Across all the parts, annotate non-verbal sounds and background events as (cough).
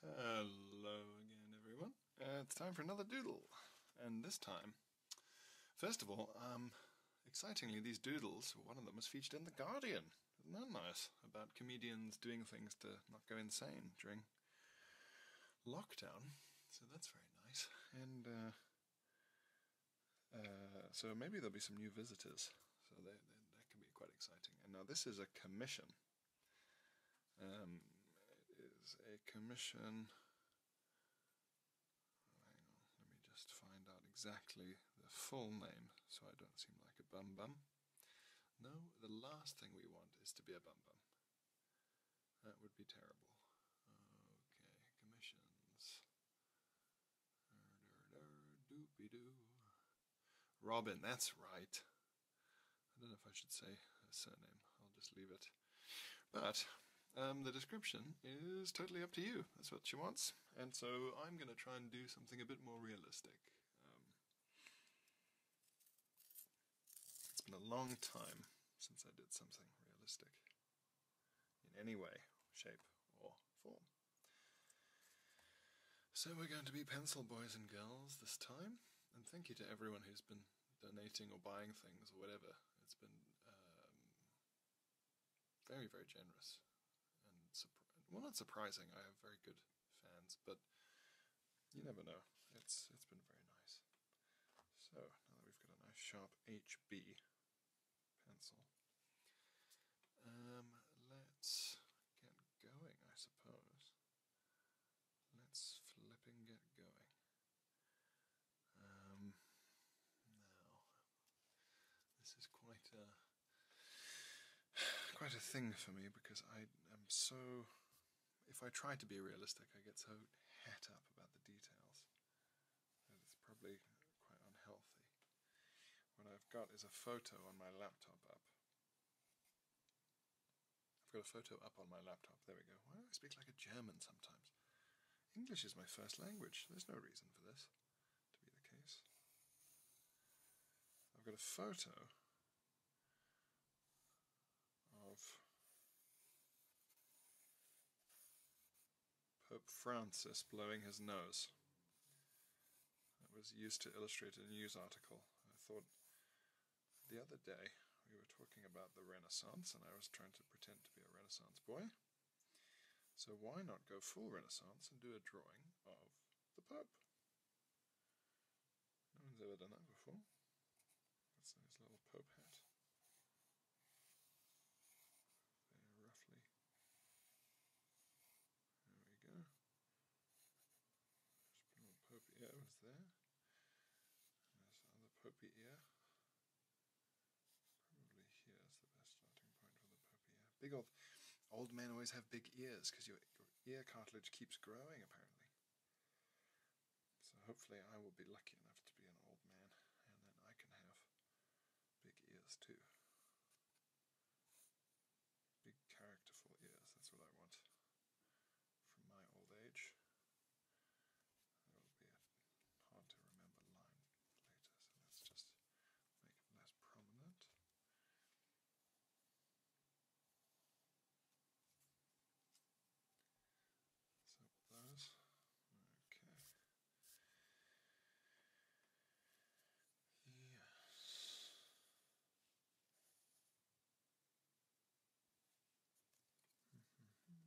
Hello again, everyone. Uh, it's time for another doodle, and this time, first of all, um, excitingly, these doodles, one of them was featured in The Guardian. Isn't nice? About comedians doing things to not go insane during lockdown. So that's very nice. And, uh, uh, so maybe there'll be some new visitors so that, that, can be quite exciting. And now this is a commission. it um, is a commission. let me just find out exactly the full name so I don't seem like a bum bum. No, the last thing we want is to be a bum bum. That would be terrible. Okay, commissions. Doopy doo. Robin, that's right. I don't know if I should say a surname. I'll just leave it. But um, the description is totally up to you. That's what she wants. And so I'm going to try and do something a bit more realistic. Um, it's been a long time since I did something realistic in any way, shape, or form. So we're going to be pencil boys and girls this time, and thank you to everyone who's been donating or buying things or whatever. It's been um, very, very generous, and well, not surprising. I have very good fans, but you never know. It's it's been very nice. So now that we've got a nice sharp HB pencil, um, let's get going, I suppose. Let's flipping get going. Um, now, this is quite a (sighs) quite a thing for me because I am so. If I try to be realistic, I get so het up about the details that it's probably quite unhealthy. What I've got is a photo on my laptop up I've got a photo up on my laptop. There we go. Why do I speak like a German sometimes? English is my first language. There's no reason for this to be the case. I've got a photo of Pope Francis blowing his nose. It was used to illustrate a news article. I thought the other day we were talking about the Renaissance, and I was trying to pretend to be a Renaissance boy. So why not go full Renaissance and do a drawing of the Pope? No one's ever done that before. That's his little Pope hat. roughly there we go. Just put on Pope ear was there. There's the other ear. Probably here is the best starting point for the Pope ear. Big old old men always have big ears because your, your ear cartilage keeps growing apparently. So hopefully I will be lucky enough to be an old man and then I can have big ears too. Big, characterful ears, that's what I want from my old age. There will be hard to remember later, so let's just make it less prominent. So those. Okay. Yes. Mm-hmm.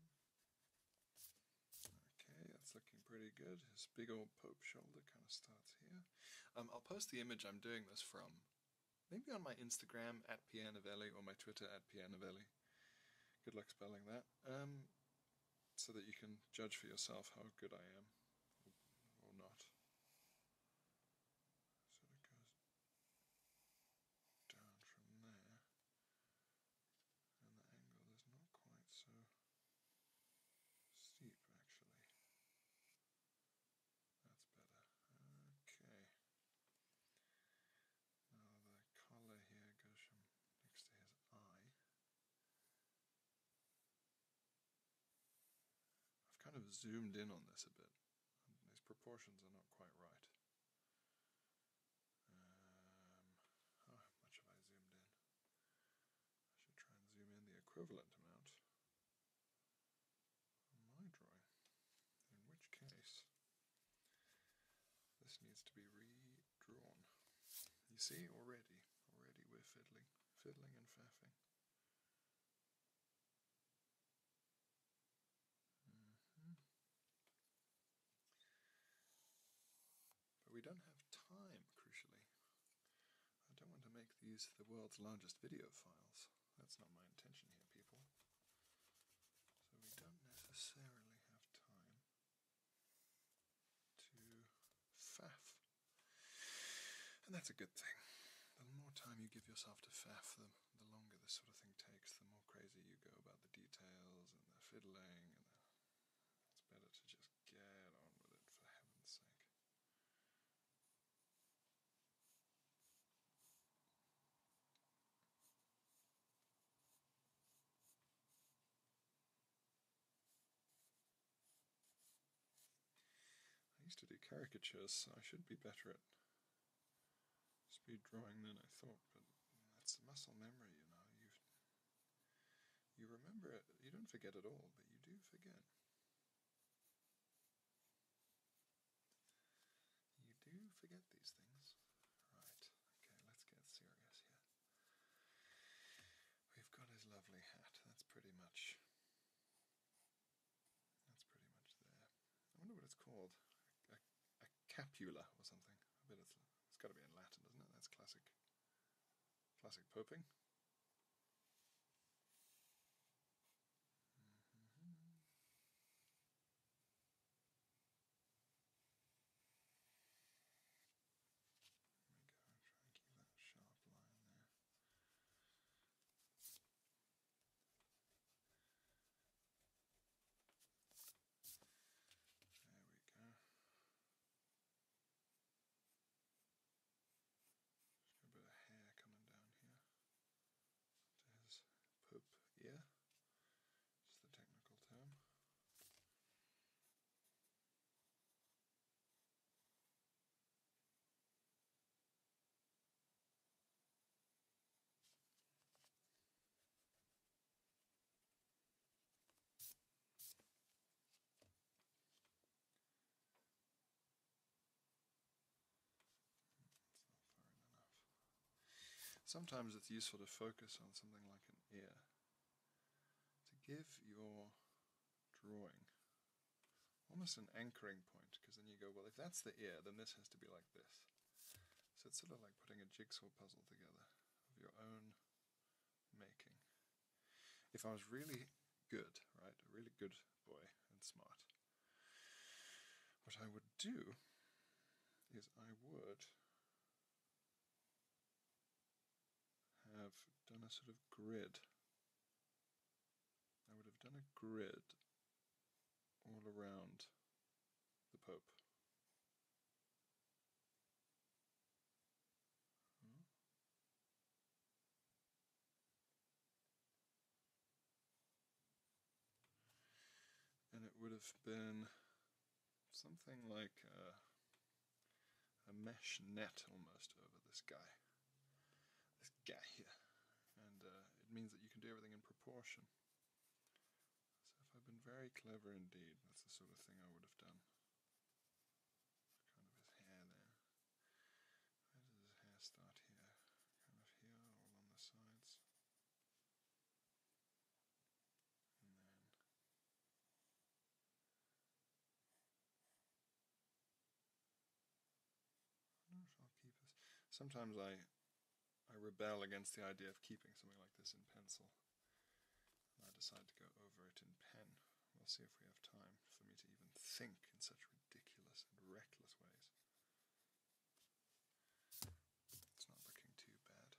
Okay, that's looking pretty good. His big old Pope shoulder kind of starts here. Um, I'll post the image I'm doing this from, maybe on my Instagram at Pianovelli or my Twitter at Pianovelli. Good luck spelling that. Um, so that you can judge for yourself how good I am or not. So it goes down from there, and the angle is not quite so steep actually. That's better. Okay. Now the collar here goes from next to his eye I've kind of zoomed in on this a bit. These proportions are not quite right. Um, oh, how much have I zoomed in? I should try and zoom in the equivalent amount on my drawing. In which case, this needs to be redrawn. You see, already, already we're fiddling, fiddling and faffing. Mm-hmm. But we don't have time, crucially. I don't want to make these the world's largest video files. That's not my intention here, people. So we don't necessarily have time to faff and that's a good thing. The more time you give yourself to faff, the, longer this sort of thing takes, the more crazy you go about the details and the fiddling. And It's better to just get on with it, for heaven's sake. I used to do caricatures, so I should be better at speed drawing than I thought, but that's muscle memory, you know. You you remember it, you don't forget it all, but you do forget. You do forget these things. Right, okay, let's get serious here. We've got his lovely hat, that's pretty much that's pretty much there. I wonder what it's called. A, capula or something. I bet it's, it's got to be in Latin, doesn't it? That's classic, classic poping. Mm-hmm. There we go, try and keep that sharp line there. There we go. a bit of hair coming down here to his ear. It's the technical term sometimes it's useful to focus on something like an ear to give your drawing almost an anchoring point, because then you go, well, if that's the ear, then this has to be like this. So it's sort of like putting a jigsaw puzzle together of your own making. If I was really good, right, a really good boy and smart, what I would do is I would have done a sort of grid I would have done a grid all around the Pope. Hmm? And it would have been something like a mesh net almost over this guy this guy here. And uh, it means that you can do everything in proportion. So if I've been very clever indeed, that's the sort of thing I would have done. Kind of his hair there. Where does his hair start here? Kind of here, all on the sides. And then Sometimes I, I rebel against the idea of keeping something like this in pencil. I decide to go over it in pen. We'll see if we have time for me to even think in such ridiculous and reckless ways. It's not looking too bad.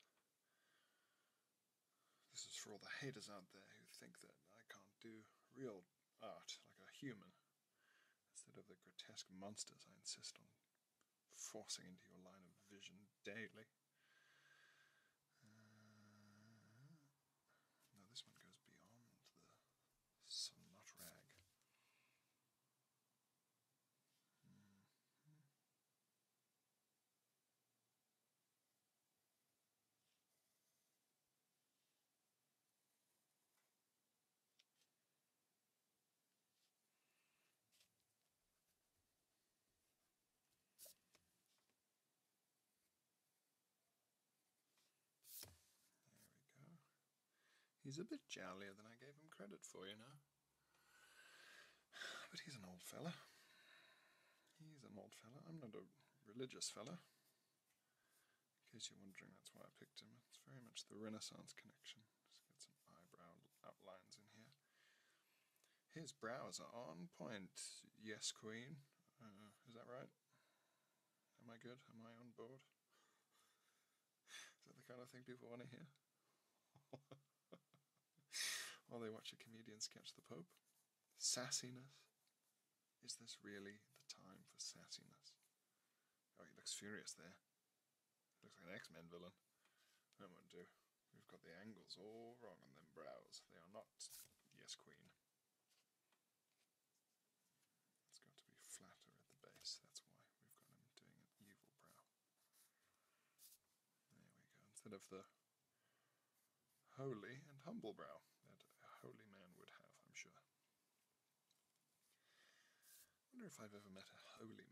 This is for all the haters out there who think that I can't do real art like a human instead of the grotesque monsters I insist on forcing into your line of vision daily. Uh, now, this one goes beyond the snot rag. There we go. He's a bit jollier than I gave him credit for, you know. But he's an old fella. He's an old fella. I'm not a religious fella. In case you're wondering, that's why I picked him. It's very much the Renaissance connection. Just get some eyebrow outlines in here. His brows are on point. Yes, Queen. Uh, is that right? Am I good? Am I on board? Is that the kind of thing people want to hear? (laughs) While they watch a comedian sketch the Pope? Sassiness? Is this really the time for sassiness? Oh, he looks furious there. Looks like an X-Men villain. That won't do. We've got the angles all wrong on them brows. They are not yes queen. It's got to be flatter at the base, that's why we've got him doing an evil brow. There we go. Instead of the holy and humble brow that a holy man would have, I'm sure. I wonder if I've ever met a holy man. I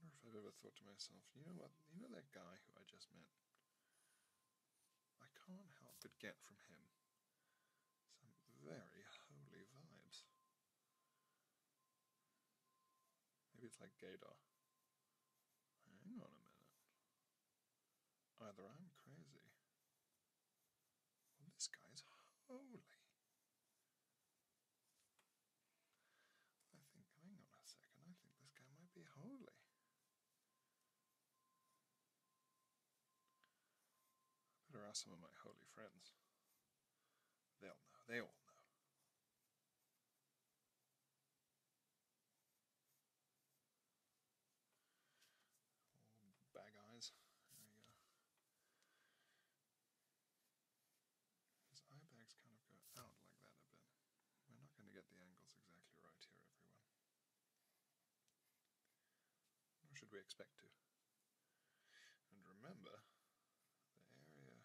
wonder if I've ever thought to myself, you know what, you know that guy who I just met? I can't help but get from him some very holy vibes. Maybe it's like Gadar. Hang on a minute. Either I'm crazy, or this guy's holy. I think, hang on a second, I think this guy might be holy. better ask some of my holy friends. They'll know, they all know bag eyes. There you go. His eye bags kind of go out like that a bit. We're not going to get the angles exactly right here, everyone. Nor should we expect to. And remember, the area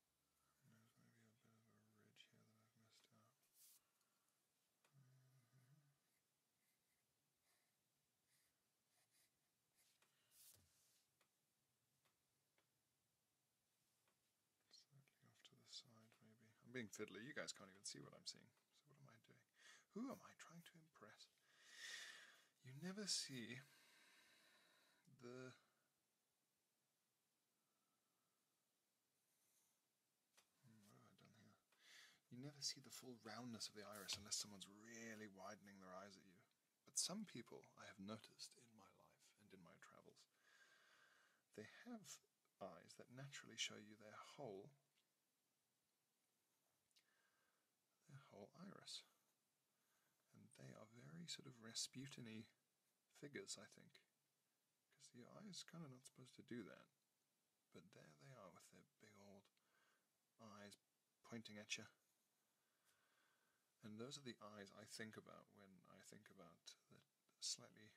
There's maybe a bit of a ridge here that I've missed out. Slightly off to the side, maybe. I'm being fiddly. You guys can't even see what I'm seeing. So what am I doing? Who am I trying to impress? You never see the you never see the full roundness of the iris unless someone's really widening their eyes at you. But some people I have noticed in my life and in my travels, they have eyes that naturally show you their whole their whole iris. And they are very sort of Rasputiny figures, I think. Because the eye is kind of not supposed to do that. But there they are with their big old eyes pointing at you. And those are the eyes I think about when I think about the slightly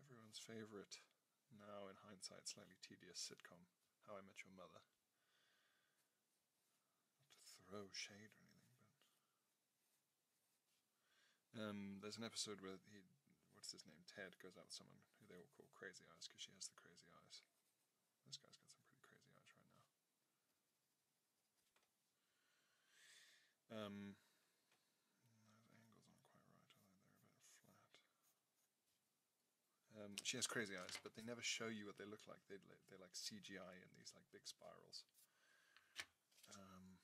everyone's favourite, now in hindsight, slightly tedious sitcom, How I Met Your Mother to throw shade or anything, but um, there's an episode where he, what's his name, Ted goes out with someone who they all call Crazy Eyes because she has the crazy eyes. This guy's got some pretty crazy eyes right now. Um, those angles aren't quite right, although they're a bit flat. Um, she has crazy eyes, but they never show you what they look like. They they're like CGI and these like big spirals. Um,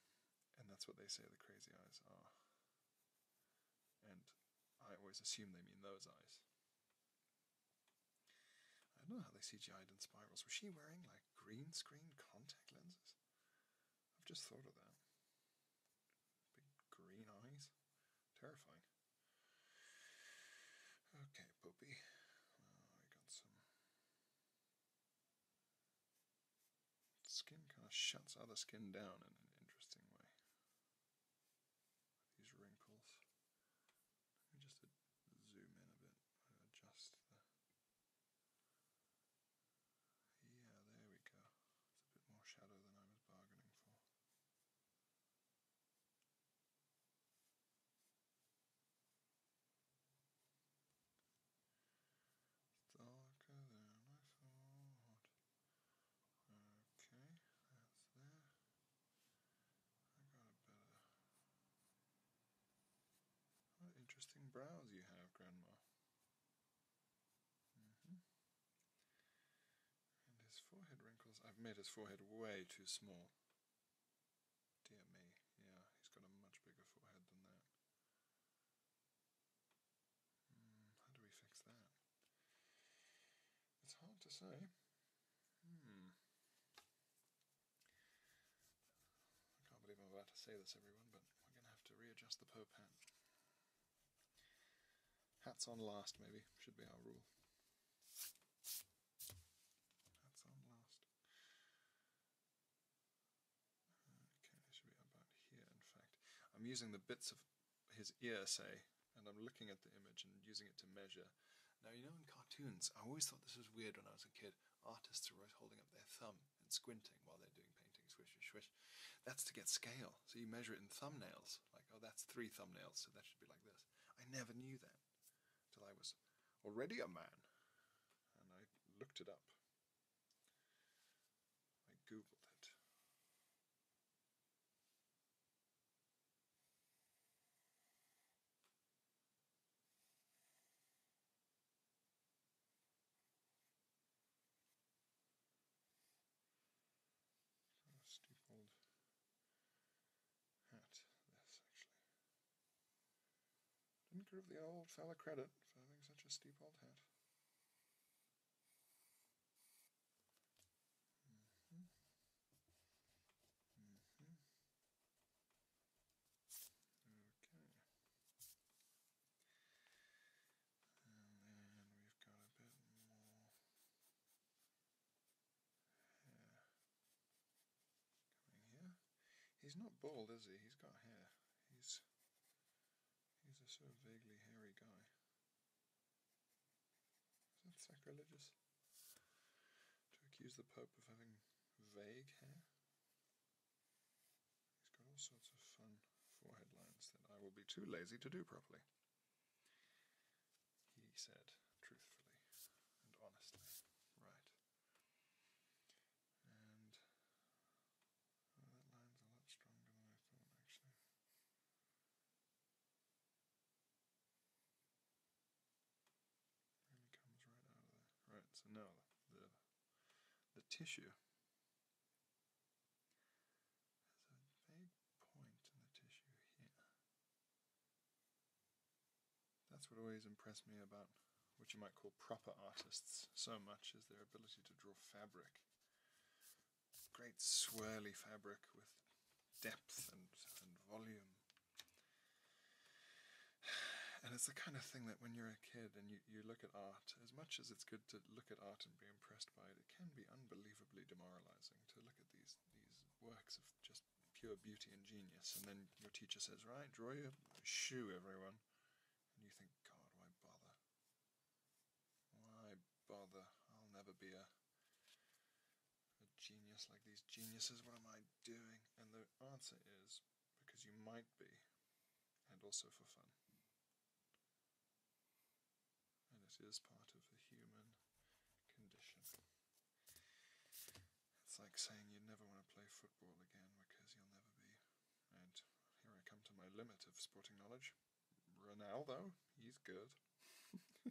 and that's what they say the crazy eyes are. And I always assume they mean those eyes. I don't know how they CGI'd in spirals. Was she wearing like green screen contact lenses? I've just thought of that. Big green eyes. Terrifying. Okay, Poopy. Oh, I got some Skin kind of shuts other skin down in an interesting way. these wrinkles. Let me just zoom in a bit. Adjust Yeah, there we go. It's a bit more shadow than I was bargaining for. It's darker than I thought. Okay, that's there. I got a better. interesting brows you have, Grandma. Mm-hmm. And his forehead wrinkles. I've made his forehead way too small. Dear me, yeah, he's got a much bigger forehead than that. Hmm, how do we fix that? It's hard to say. Hmm. I can't believe I'm about to say this, everyone, but we're going to have to readjust the Pope hat. Hats on last, maybe, should be our rule. Hats on last. Okay, they should be about here, in fact. I'm using the bits of his ear, say, and I'm looking at the image and using it to measure. Now, you know, in cartoons, I always thought this was weird when I was a kid. Artists are always holding up their thumb and squinting while they're doing painting, swish, swish, swish. That's to get scale. So you measure it in thumbnails. Like, oh, that's three thumbnails, so that should be like this. I never knew that till I was already a man. And I looked it up. I googled it. Stupid hat, this actually. Didn't give the old fella credit for having such a steep old hat. Mm-hmm. Mm-hmm. Okay. And then we've got a bit more He's not bald, is he? He's got hair. He's he's a sort of vaguely hairy guy. Is that sacrilegious? To accuse the Pope of having vague hair? He's got all sorts of fun forehead lines that I will be too lazy to do properly. He said truthfully and honestly. Right. And oh, that line's a lot stronger than I thought, actually. Really comes right out of there. Right, so now the the tissue has a vague point in the tissue here. That's what always impressed me about what you might call proper artists so much is their ability to draw fabric. Great swirly fabric with depth and, and volume. And it's the kind of thing that when you're a kid and you, you look at art, as much as it's good to look at art and be impressed by it, it can be unbelievably demoralizing to look at these these works of just pure beauty and genius. And then your teacher says, Right, draw your shoe, everyone and you think, God, why bother? Why bother? I'll never be a genius like these geniuses. What am I doing? And the answer is because you might be, and also for fun. And it is part of the human condition. It's like saying you never want to play football again because you'll never be. And here I come to my limit of sporting knowledge. though, he's good. (laughs) It's a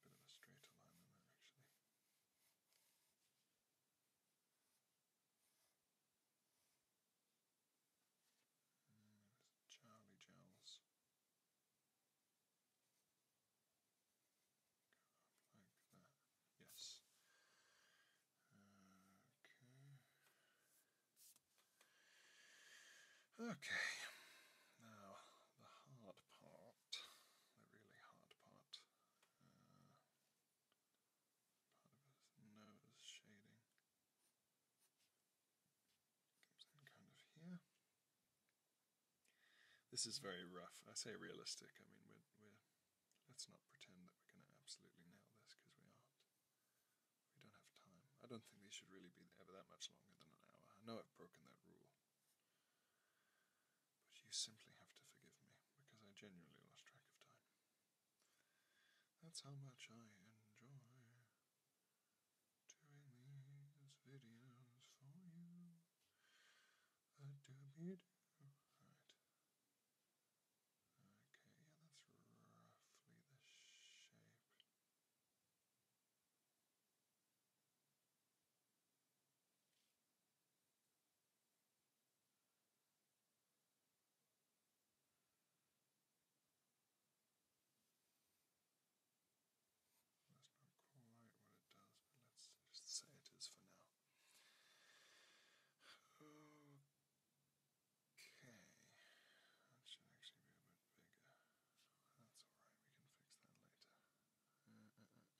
bit of a straighter line than that, actually. Mm, Charlie Jowls. Yes. Okay. Okay. Now the hard part, the really hard part, part of his nose shading comes in kind of here. This is very rough. I say realistic. I mean, we're, let's not pretend that we're going to absolutely nail this because we aren't. We don't have time. I don't think we should really be ever that much longer than an hour. I know I've broken that rule. But you simply have to forgive me because I genuinely lost track of time. That's how much I enjoy doing these videos for you. I do be do. Okay, yeah, that's roughly the shape. That's not quite what it does, but let's just say it is for now. Okay, that should actually be a bit bigger. That's alright, we can fix that later. Uh, uh, uh,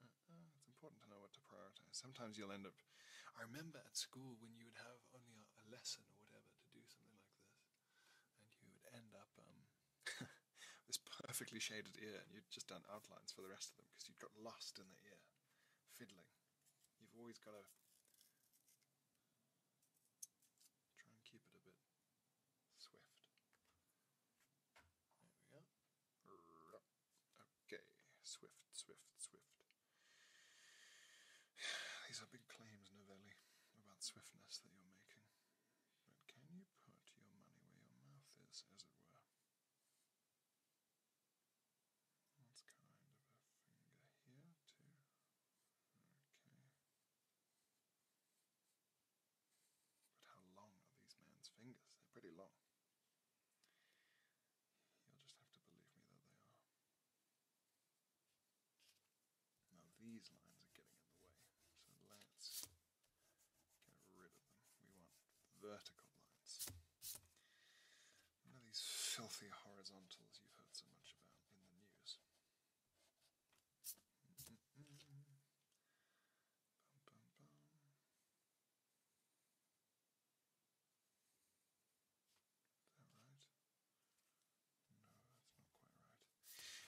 it's important to know what to prioritize. Sometimes you'll end up. I remember at school when you would have only a, lesson or whatever to do something like this, and you would end up. Um, (laughs) (laughs) this perfectly shaded ear, and you'd just done outlines for the rest of them because you'd got lost in the ear, fiddling. You've always got to try and keep it a bit swift. There we go. Okay, swift, swift, swift. (sighs) These are big claims, Novelli, about swiftness that you're making. But can you put your money where your mouth is, as it were? That's kind of a finger here, too. Okay. But how long are these man's fingers? They're pretty long. You'll just have to believe me that they are. Now these lines are getting in the way, so let's Get rid of them. We want vertical lines. None of these filthy horizontals you've heard so much about in the news. Is that right? No, that's not quite right.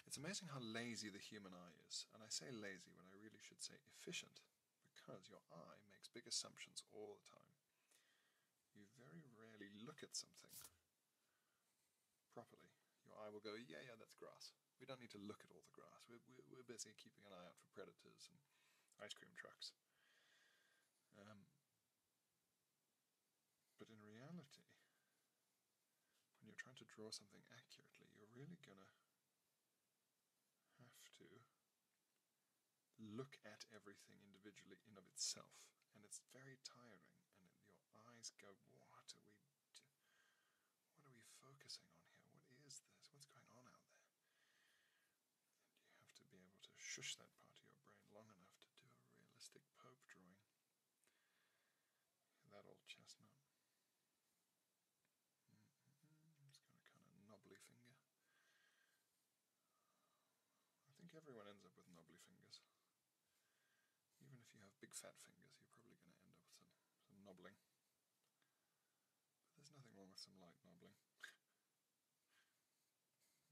It's amazing how lazy the human eye is, and I say lazy when I really should say efficient, because your eye makes big assumptions all the time. You very rarely look at something properly. Your eye will go, yeah, yeah, that's grass. We don't need to look at all the grass. We're, we're, busy keeping an eye out for predators and ice cream trucks. Um, but in reality, when you're trying to draw something accurately, you're really going to have to look at everything individually in of itself. And it's very tiring, and your eyes go, what are we What are we focusing on here? What is this? What's going on out there? And you have to be able to shush that part of your brain long enough to do a realistic Pope drawing. That old chestnut. I'm mm-hmm. just going to kind of knobbly finger. I think everyone ends up with knobbly fingers. Even if you have big fat fingers, you're probably going to end up with some, some knobbling. But there's nothing wrong with some light knobbling.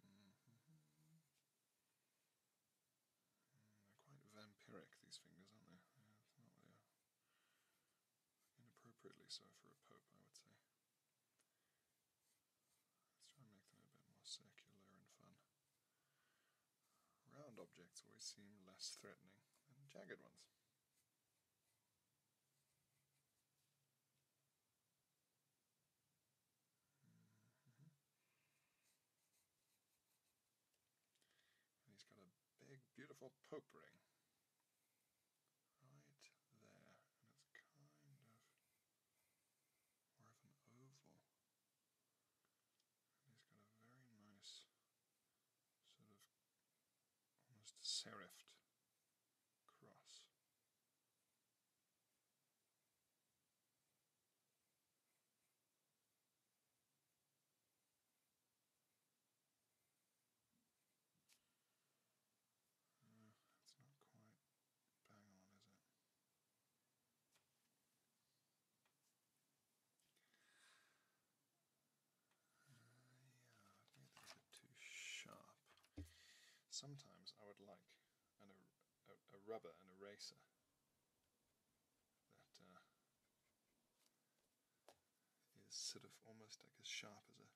Mm-hmm. Mm, they're quite vampiric, these fingers, aren't they? Inappropriately so for a pope, I would say. Let's try and make them a bit more circular and fun. Round objects always seem less threatening than jagged ones. Mm-hmm. he's got a big, beautiful Pope Right there. And it's kind of more of an oval. And he's got a very nice sort of almost serifed cross it's not quite bang on, is it? Uh, yeah, a bit too sharp. Sometimes I would like a, rubber, and eraser, uh, is sort of almost like as sharp as a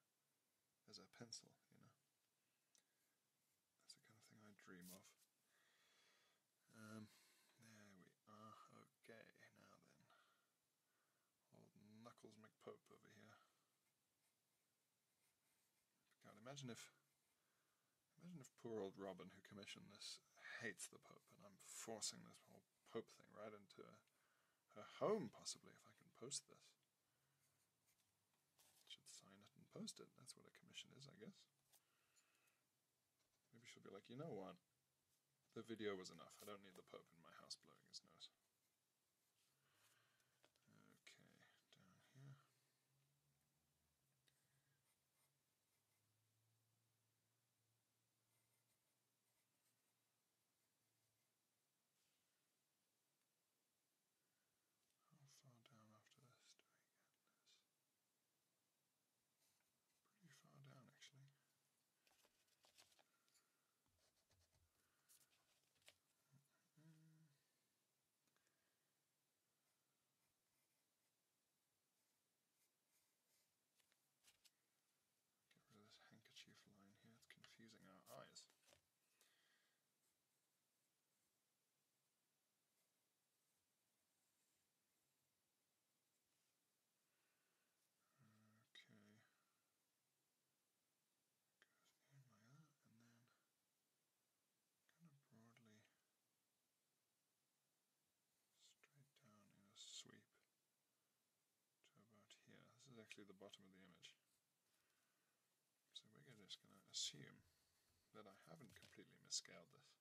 as a pencil, you know. That's the kind of thing I dream of. Um, there we are. Okay, now then. Old Knuckles McPope over here. God, imagine if imagine if poor old Robin who commissioned this hates the Pope and I'm forcing this whole Pope thing right into her home, possibly, if I can post this. Should sign it and post it. That's what a commission is, I guess. Maybe she'll be like, you know what? The video was enough. I don't need the Pope in my house blowing his nose. Okay, down here. How far down after this Pretty far down actually. Get rid of this handkerchief line here, it's confusing our eyes. Okay. Goes in like that and then kind of broadly straight down in a sweep to about here. This is actually the bottom of the image. So we're just going to assume that I haven't completely misscaled this.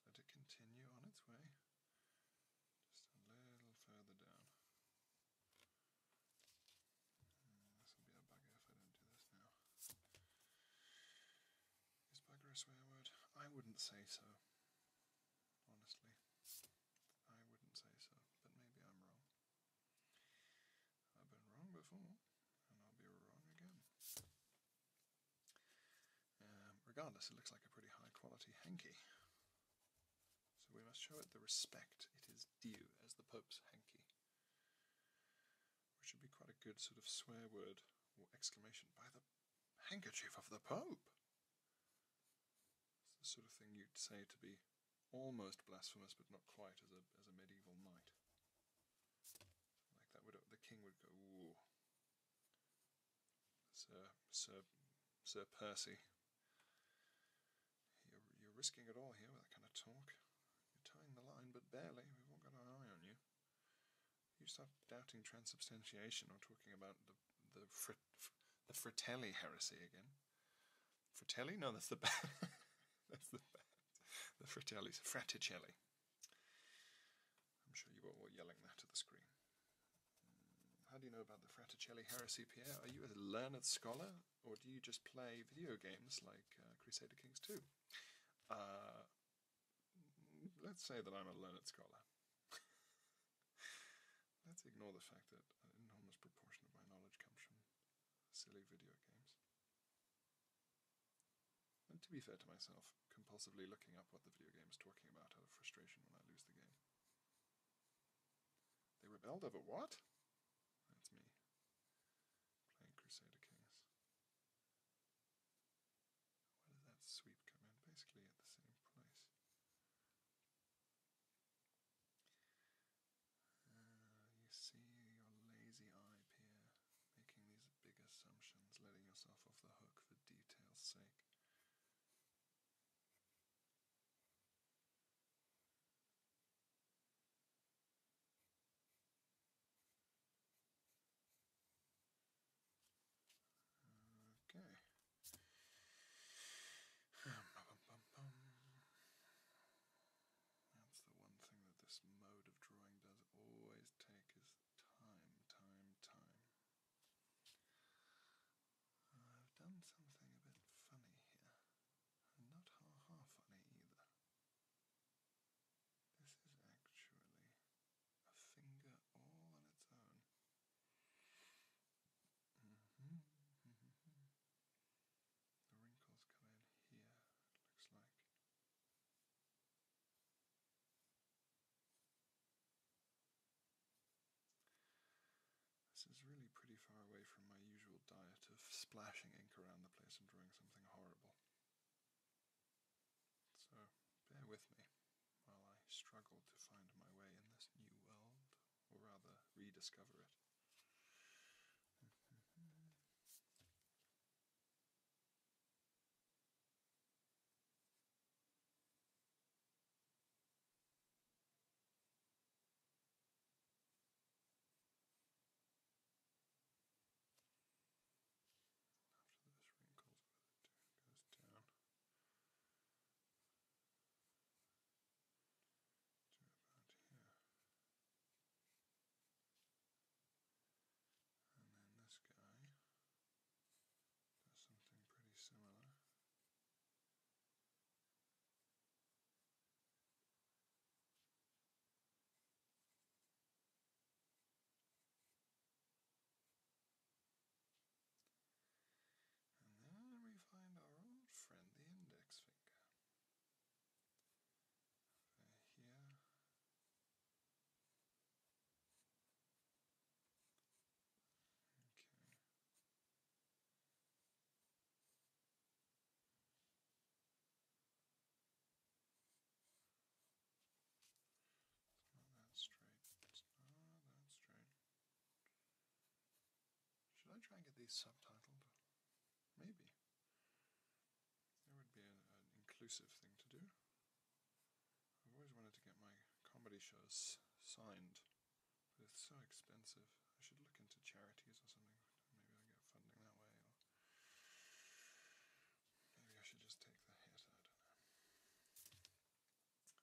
Just let it continue on its way, just a little further down. Mm, this will be a bugger if I don't do this now. Is bugger a swear word? I wouldn't say so honestly. I wouldn't say so, but maybe I'm wrong. I've been wrong before, and I'll be wrong again. Um, regardless, it looks like a pretty high quality hanky. So we must show it the respect it is due as the Pope's hanky. Which should be quite a good sort of swear word or exclamation by the handkerchief of the Pope! It's the sort of thing you'd say to be almost blasphemous, but not quite, as a as a medieval knight. like that the king would go, Sir Sir Sir Percy, you're risking it all here with that kind of talk. You're tying the line, but barely. We've all got our eye on you." You start doubting transubstantiation or talking about the." the the, Fratelli heresy again. Fratelli? No, that's the band. (laughs) that's the band. The Fratellis. Fraticelli. I'm sure you were yelling that at the screen. How do you know about the Fraticelli heresy, Pierre? Are you a learned scholar, or do you just play video games like uh, Crusader Kings 2? Uh, let's say that I'm a learned scholar. (laughs) Let's ignore the fact that an enormous proportion of my knowledge comes from silly video games. And to be fair to myself, compulsively looking up what the video game is talking about out of frustration when I lose the game. They rebelled over what? That's me. Playing Crusader Kings. Where does that sweep come in? Basically at the same place. Uh, you see your lazy eye here, making these big assumptions, letting yourself off the hook for detail's sake. Okay. That's the one thing that this mode of drawing does always take is time, time, time. I've done something a bit funny here. not ha-ha funny either. This is actually a finger all on its own. Mm-hmm. Mm-hmm. Mm-hmm. The wrinkles come in here, looks like. This is really pretty far away from my usual diet of splashing ink around the place and drawing something horrible. So bear with me while I struggled to find my way in this new world, or rather, rediscover it. (laughs) to about here. And then this guy does something pretty similar. And then we find our old friend, the index finger. here. Okay. It's not that straight. It's not that straight. Should I try and get these subtitled? Maybe. That would be an inclusive thing to do. I've always wanted to get my comedy shows signed, but it's so expensive. I should look into charities or something. Maybe I get funding that way, maybe I should just take the hit. I don't know.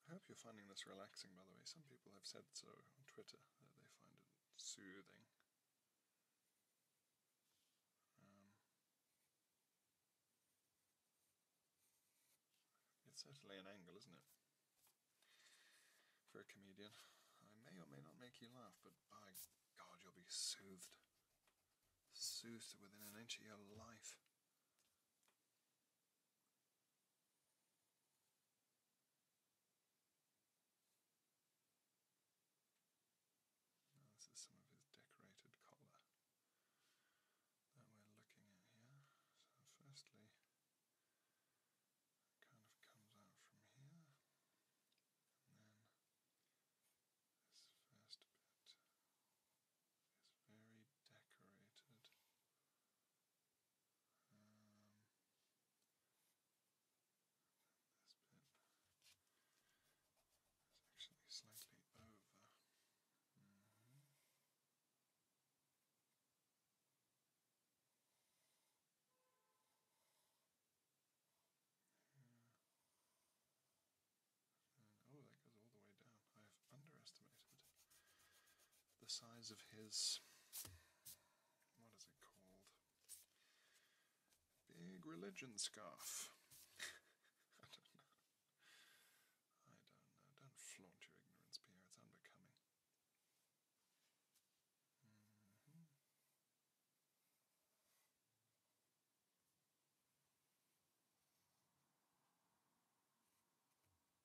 I hope you're finding this relaxing, by the way. Some people have said so on Twitter that they find it soothing. Um, it's certainly an angle, isn't it? For a comedian. I may or may not make you laugh, but by God, you'll be soothed. Soothed within an inch of your life. Oh, this is some of his decorated collar that we're looking at here. So firstly it kind of comes out from here and then this first bit is very decorated um, actually slightly over. Hmm. Hmm. oh, that goes all the way down. I have underestimated the size of his what is it called? Big religion scarf. (laughs) I don't know. I don't know. Don't flaunt your ignorance, Pierre. It's unbecoming. Mm-hmm.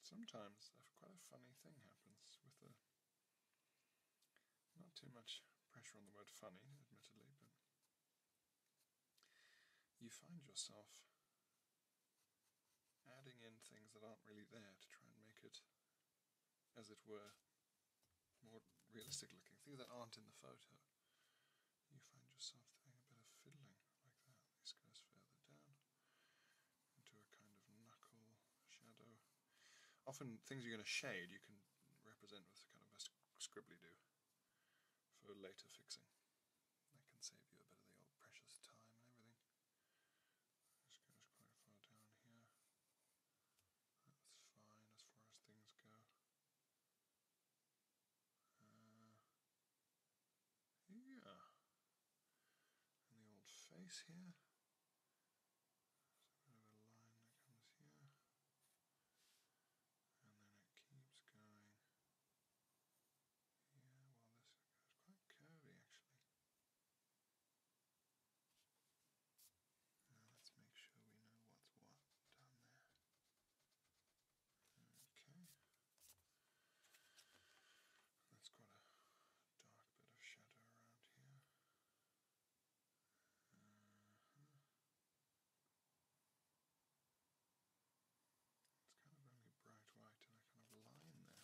Sometimes quite a funny thing happens with the. Not too much pressure on the word funny, admittedly, but you find yourself adding in things that aren't really there to try and make it, as it were, more realistic looking, things that aren't in the photo you find yourself doing a bit of fiddling like that. This goes further down into a kind of knuckle shadow. Often things you're going to shade you can represent with kind of scribbly do for later fixing. That can save you a bit of the old precious time and everything. This goes quite far down here. That's fine as far as things go. Uh, yeah. the old face here. a line that comes here. And then it keeps going. Yeah, well this is quite curvy actually. Now let's make sure we know what's what down there. Okay. That's quite a dark bit of shadow around here. Uh-huh. It's kind of only bright white and a kind of line there,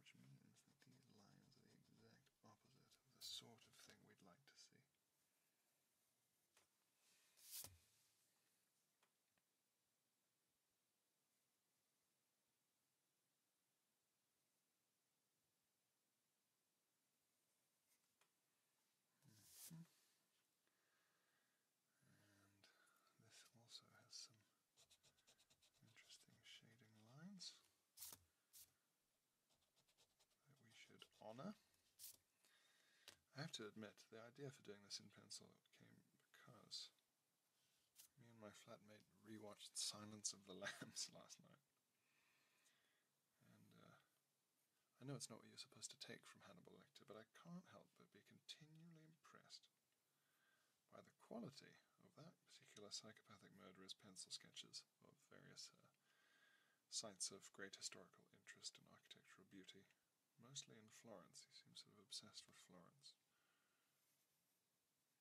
which means that these lines are the exact opposite of the sort of thing we'd like to see this also has some interesting shading lines that we should honour. I have to admit, the idea for doing this in pencil came because me and my flatmate rewatched Silence of the (laughs) Lambs last night. And uh, I know it's not what you're supposed to take from Hannibal Lecter, but I can't help but be continually impressed by the quality of that particular psychopathic murderer's pencil sketches of various uh, sites of great historical interest and architectural beauty mostly in Florence. He seems sort of obsessed with Florence.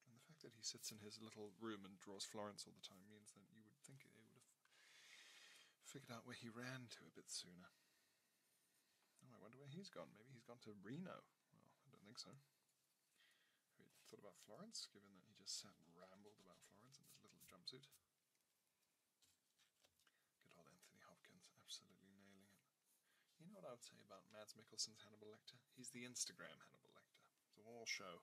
And the fact that he sits in his little room and draws Florence all the time means that you would think they would have figured out where he ran to a bit sooner. Oh, I wonder where he's gone. Maybe he's gone to Reno. Well, I don't think so. Have you thought about Florence, given that he just sat and rambled about Florence in his little jumpsuit? Good old Anthony Hopkins, absolutely nailing it. You know what I would say about Mads Mikkelsen's Hannibal Lecter? He's the Instagram Hannibal Lecter. It's all show.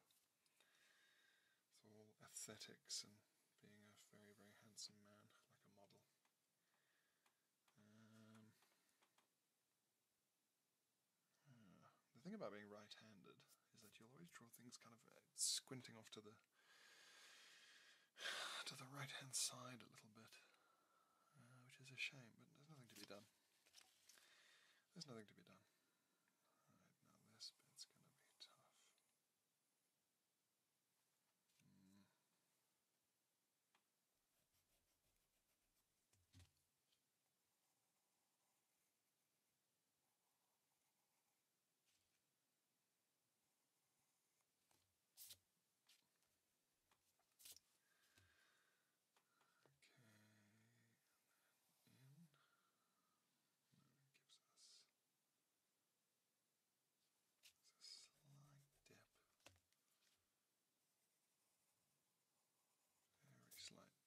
It's all aesthetics and being a very, very handsome man, like a model. Um, ah, the thing about being right-handed is that you'll always draw things kind of uh, squinting off to the to the right hand side a little bit, uh, which is a shame. But there's nothing to be done. There's nothing to be done. now this bit's gonna be tough. Hmm. Okay, and then in. And that gives us it's a slight dip. Very slight dip there.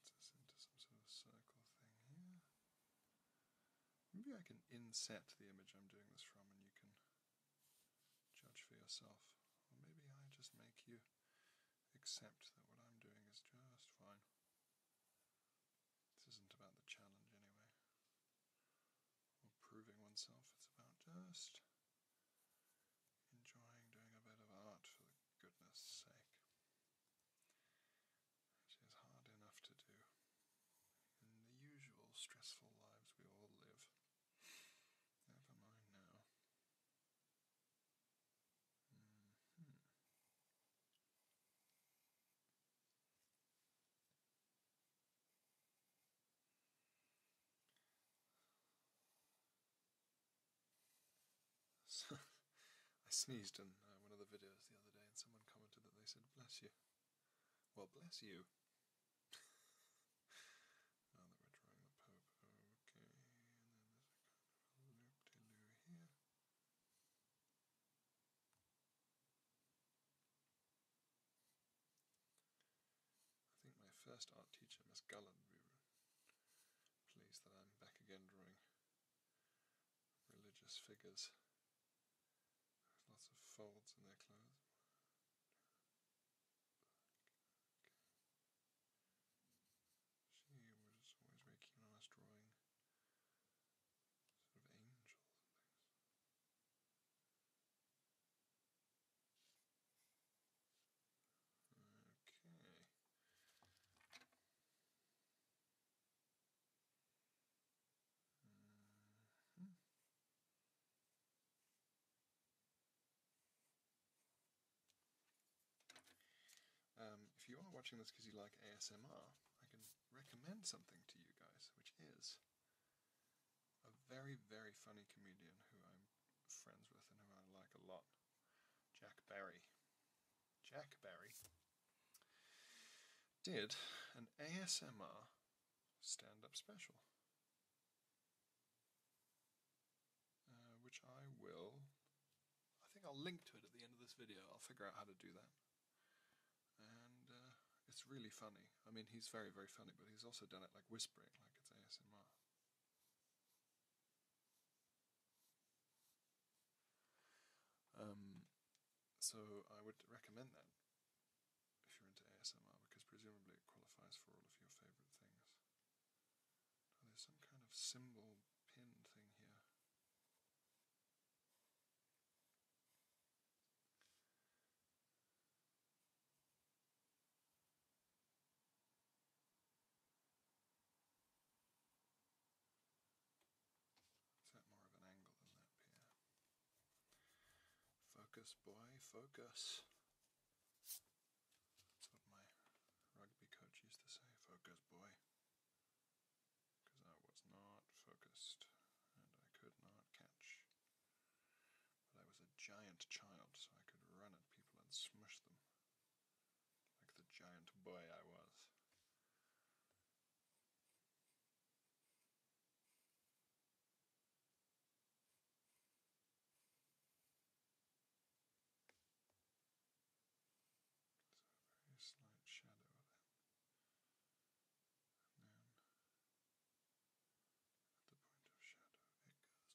Gets us into some sort of circle thing here. Maybe I can inset the image I'm doing this from and you can judge for yourself. Or maybe I just make you accept that what I'm doing is just fine. This isn't about the challenge anyway, or proving oneself, it's about just enjoying doing a bit of art goodness sake. Which is hard enough to do in the usual stressful lives we all live. Never mind now. Mm -hmm. So, (laughs) I sneezed in uh, one of the videos the other day, and someone commented that they said, "Bless you." Well, bless you. (laughs) now that we're drawing the Pope, okay, and then there's a kind of loop de loo here. I think my first art teacher, Miss Gallen, pleased that I'm back again drawing religious figures. lots of folds in their clothes. She was always very keen drawing of angels. Okay. Mm-hmm. um, if you are watching this because you like ASMR, I can recommend something to you guys, which is a very, very funny comedian who I'm friends with and who I like a lot. Jack Barry. Jack Barry did an ASMR stand up special, uh, which I will. I think I'll link to it at the end of this video. I'll figure out how to do that. And uh, it's really funny. I mean, he's very, very funny, but he's also done it like whispering, like it's ASMR. Um, so I would recommend that if you're into ASMR, because presumably it qualifies for all of your favourite things. there's some kind of symbol pin thing here. Is that more of an angle than that pier? Focus, boy, focus. That's what my rugby coach used to say focus, boy. Because I was not focused and I could not catch. But I was a giant child, so I could run at people and smash them. Like the giant boy I was. There's a very slight shadow then. And then at the point of shadow it goes across.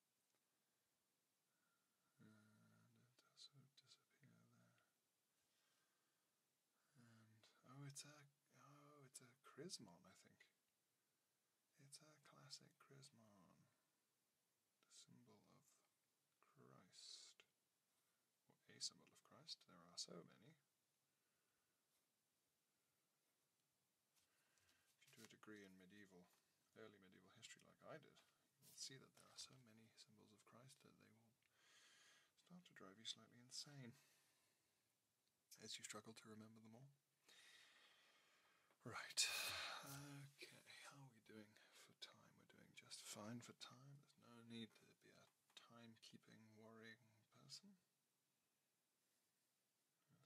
And it does sort of disappear there. And oh, it's a oh, it's a Chrismon, I think. It's a classic Chrismon, the symbol of Christ, or a symbol of Christ. There are so many. If you do a degree in medieval, early medieval history like I did, see that there are so many symbols of Christ that they will start to drive you slightly insane as you struggle to remember them all. Right, okay, how are we doing for time? We're doing just fine for time. There's no need to be a time-keeping, worrying person.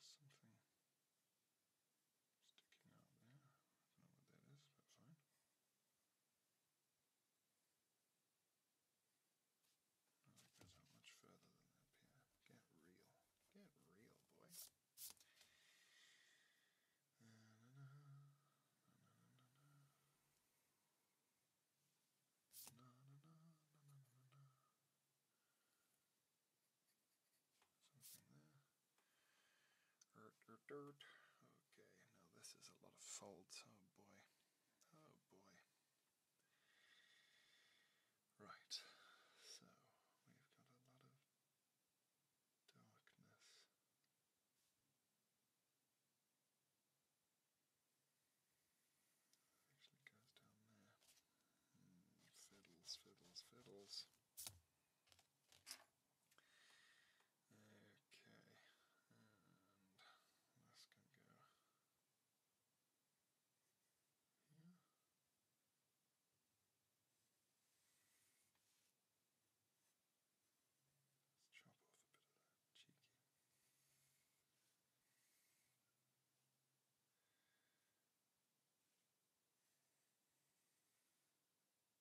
something sticking out there. I don't know what that is, but fine. I much further than that piano. Get real. Get real, boy. Na, na, na, na, na, na, na. Something there. Okay, now this is a lot of folds. Oh boy. Oh boy. Right, so we've got a lot of darkness. actually goes down there. Hmm, fiddles, fiddles, fiddles. Okay, and this can go Let's chop off a bit of that cheeky about here.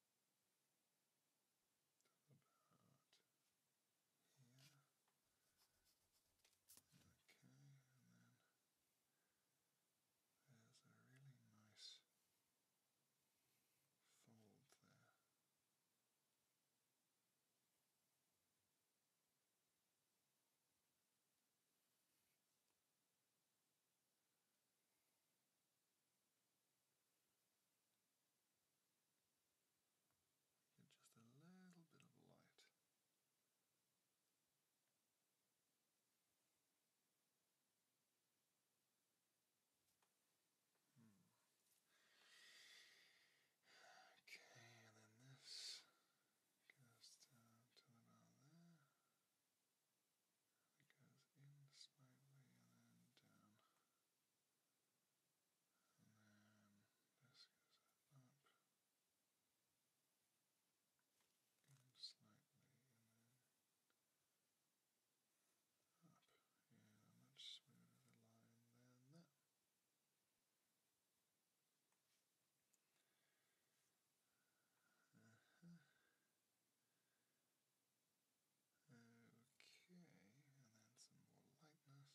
Okay, and then there's a really nice fold there. Get just a little bit of light. Hmm. Okay, and then this goes down to about there. It goes in slightly and then down. And then this goes up. In slightly and then up. Yeah, a much smoother line than that. Uh-huh. Okay, and then some more lightness. Mm-hmm. this goes over the start of that, oh, is that right?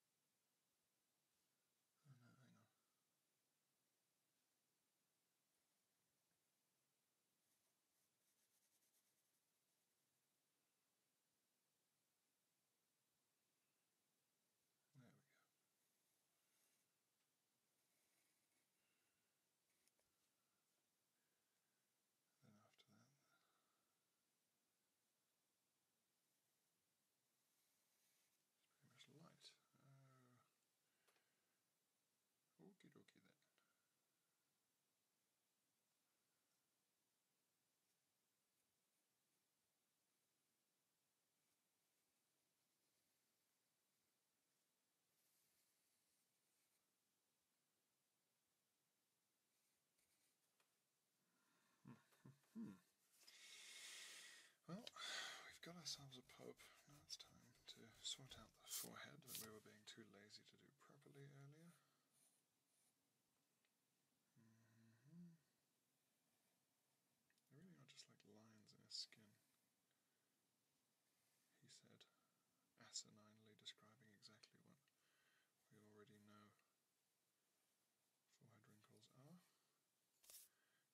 Oh There we go. Then after that, it's pretty much light. Uh, okie then. Hmm. hmm. hmm. Well, we've got ourselves a pope. Now it's time to sort out the forehead that we were being too lazy to do properly earlier. Mm-hmm. They really are just like lines in his skin. He said, asininely describing exactly what we already know forehead wrinkles are.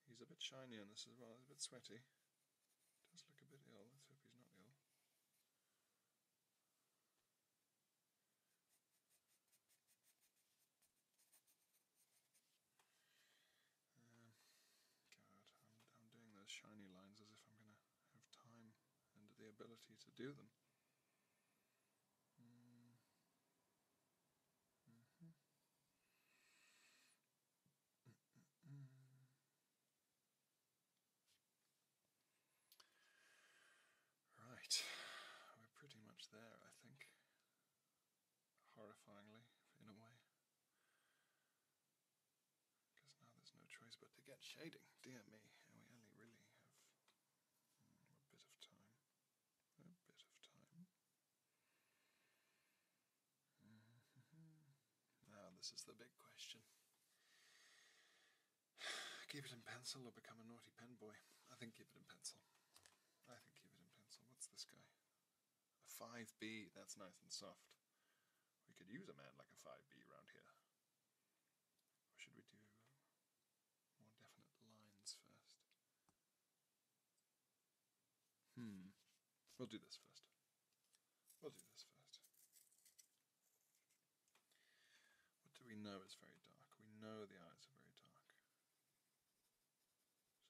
He's a bit shiny on this as well, he's a bit sweaty. Does look a bit ill, let hope he's not ill. Um, God, I'm, doing those shiny lines as if I'm going to have time and the ability to do them. Hmm. Mm-hmm. Mm-hmm. Right, we're pretty much there, I think. Horrifyingly, in a way. Because now there's no choice but to get shading. Dear me, and we only really have mm, a bit of time. A bit of time. Now, mm-hmm. ah, this is the big question. Keep it in pencil or become a naughty pen boy? I think keep it in pencil. I think keep it in pencil. What's this guy? A 5B. That's nice and soft. We could use a man like a 5B around here. Or should we do uh, more definite lines first? Hmm. We'll do this first. We'll do this first. What do we know is very dark? We know the eyes are very dark.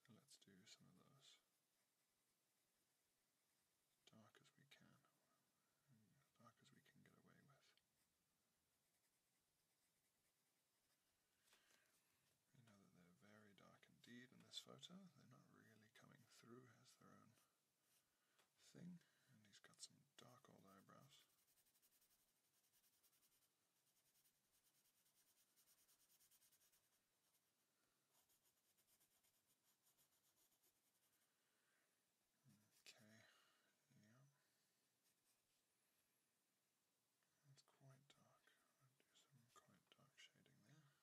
So let's do some of those. Dark as we can. Hmm, dark as we can get away with. We know that they're very dark indeed in this photo. They're not really coming through as their own thing. And he's got some dark old eyebrows. Okay, it's quite dark. I'll do some quite dark shading there.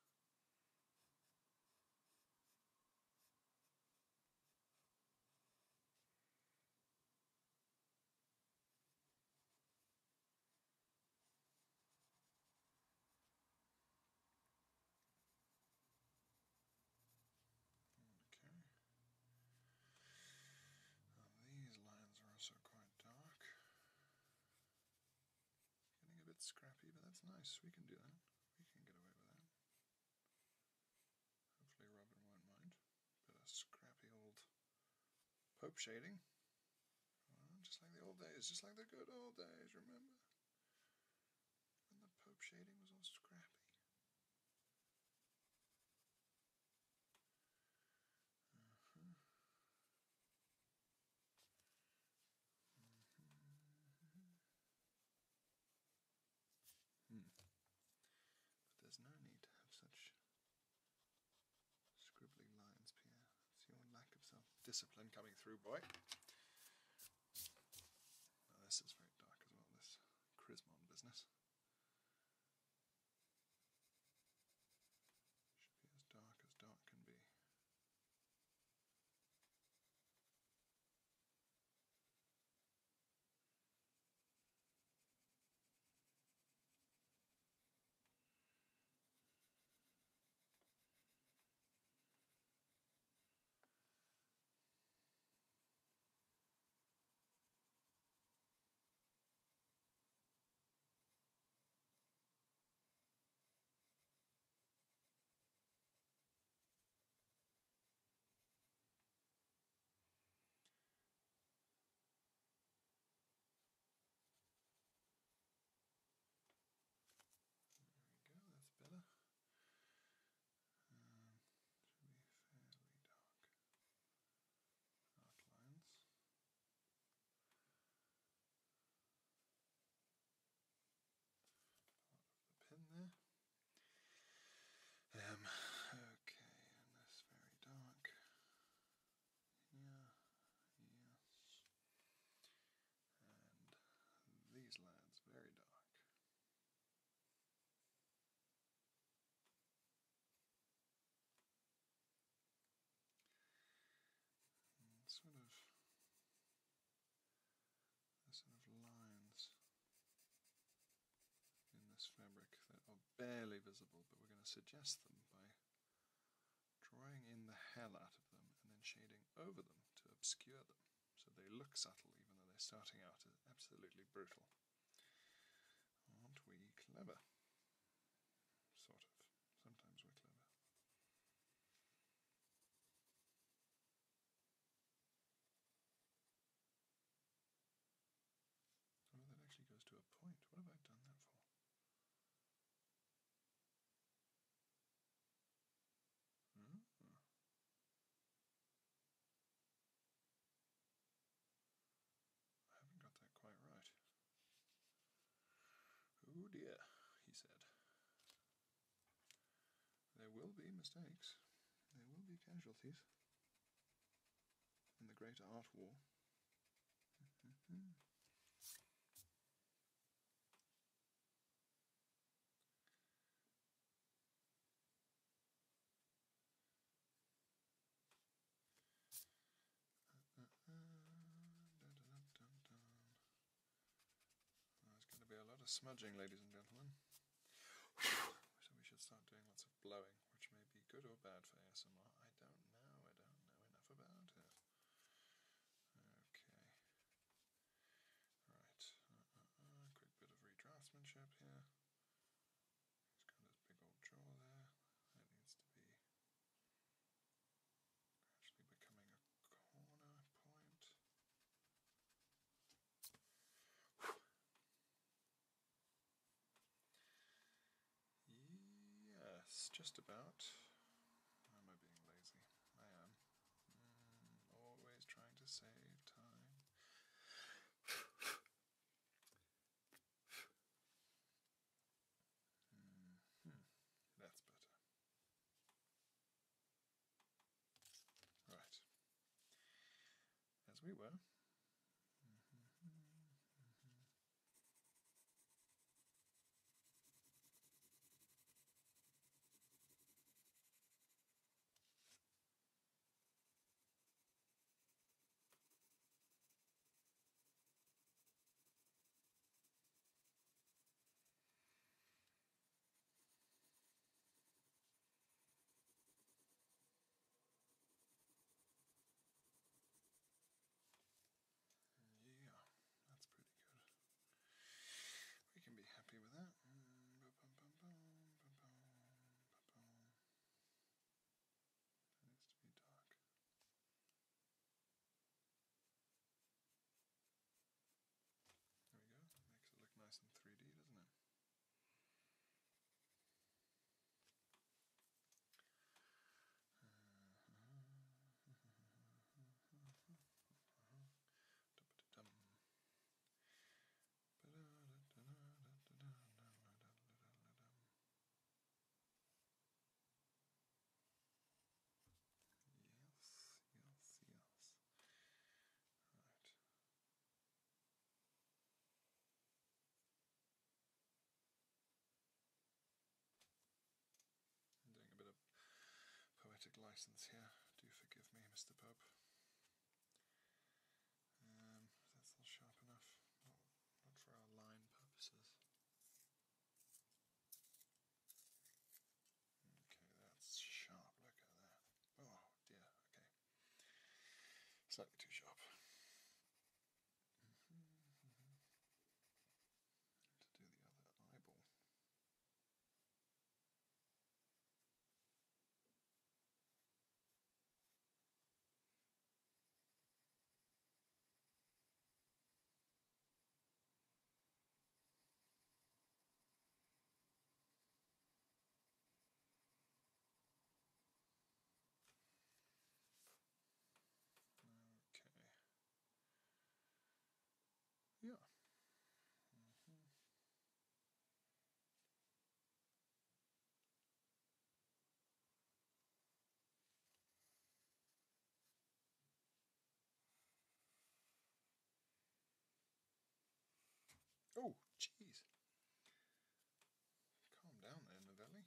Okay. Um, these lines are also quite dark. Getting a bit scrappy, but that's nice. We can do that. We can get away with that. Hopefully Robin won't mind. Bit of scrappy old Pope shading. Oh, just like the old days, just like the good old days, remember? When the Pope shading was all scrappy. Uh-huh. Mm-hmm. there's no need to have such scribbling lines, Pierre. It's your lack of self-discipline coming through, boy. this is very dark as well, this Chrismon business. Should be as dark as dark can be. There we go, that's better. Um, should be fairly dark outlines part of okay, and this very dark. Yeah, yes. And these lads, very dark sort of uh, sort of lines in this fabric that are barely visible, but we're going to suggest them by drawing in the hell out of them and then shading over them to obscure them so they look subtle even though they're starting out as absolutely brutal. Aren't we clever? Sort of. Sometimes we're clever. Oh, that actually goes to a point. What have I done that for? Hmm. I haven't got that quite right. Oh dear, he said. There will be mistakes. There will be casualties. In the Great Art War there's going to be a lot of smudging, ladies and gentlemen. so we should start doing lots of blowing, which may be good or bad for ASMR. I don't know. I don't know enough about it. Okay. Right. Uh, uh, uh, quick bit of redraftsmanship here. He's got his big old jaw there. That needs to be Gradually becoming a corner point. Yes, just about. am I being lazy? I am. Hmm, always trying to save time. Mm-hmm. That's better. Right. As we were. Yeah, that's pretty good. We can be happy with that. needs to be dark. There we go. Makes it look nice in 3D, doesn't it? Uh-huh. Yes, yes, yes. Right. doing a bit of poetic license here. Do forgive me, Mr. Pub. Um, that's not sharp enough. not for our line purposes. Okay, that's sharp. Look at that. Oh dear. Okay, slightly too sharp. Mm-hmm, mm-hmm, mm-hmm. To do the other eyeball. Okay. Yeah. Mm-hmm. Oh, jeez. Calm down there, Novelli.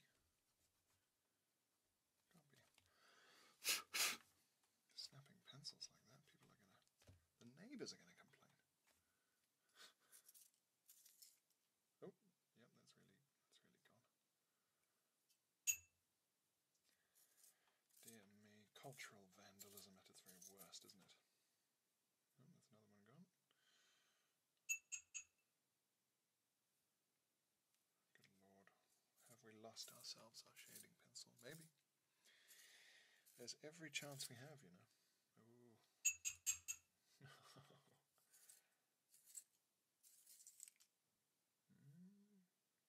Can't be snapping pencils like that. People are going to... The neighbours are going to complain. oh, yep, that's really, that's really gone. Dear me, cultural vandalism at its very worst, isn't it? Oh, that's another one gone. Good lord. Have we lost ourselves our shading pencil? Maybe. There's every chance we have, you know. (laughs)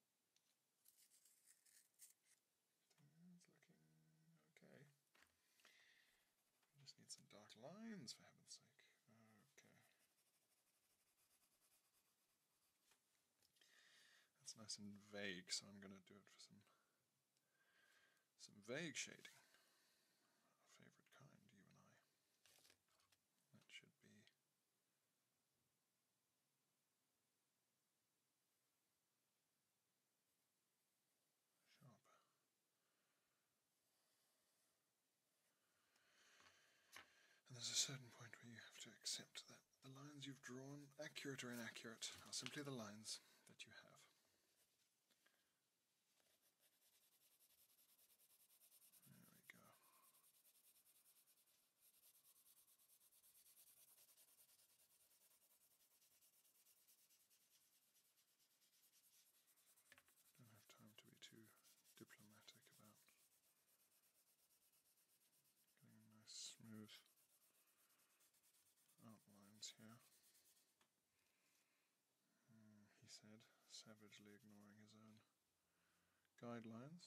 okay. just need some dark lines for heaven's sake. Okay. That's nice and vague, so I'm going to do it for some some vague shading. favorite kind, you and I. That should be and there's a certain point where you have to accept that the lines you've drawn, accurate or inaccurate, are simply the lines that you have. There we go. Don't have time to be too diplomatic about getting a nice smooth outlines here. Hmm, he said, savagely ignoring his own guidelines.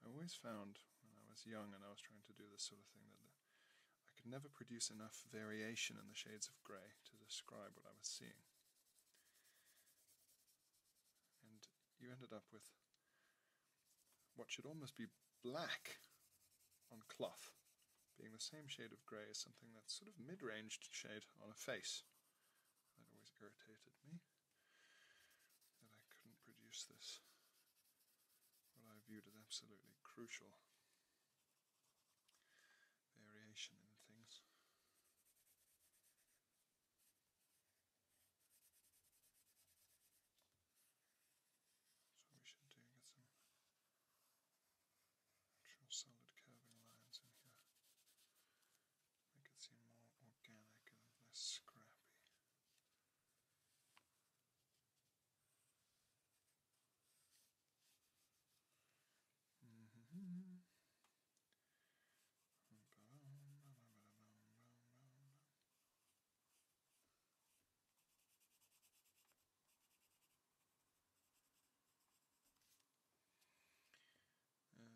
I always found when I was young and I was trying to do this sort of thing that I could never produce enough variation in the shades of grey to describe what I was seeing. And you ended up with what should almost be black on cloth being the same shade of grey as something that's sort of mid range shade on a face that always irritated me and I couldn't produce this, what I viewed as absolutely crucial variation in things. So we should do get some Draw solid curving lines in here. Make it seem more organic and less scrappy. Mm-hmm. Um,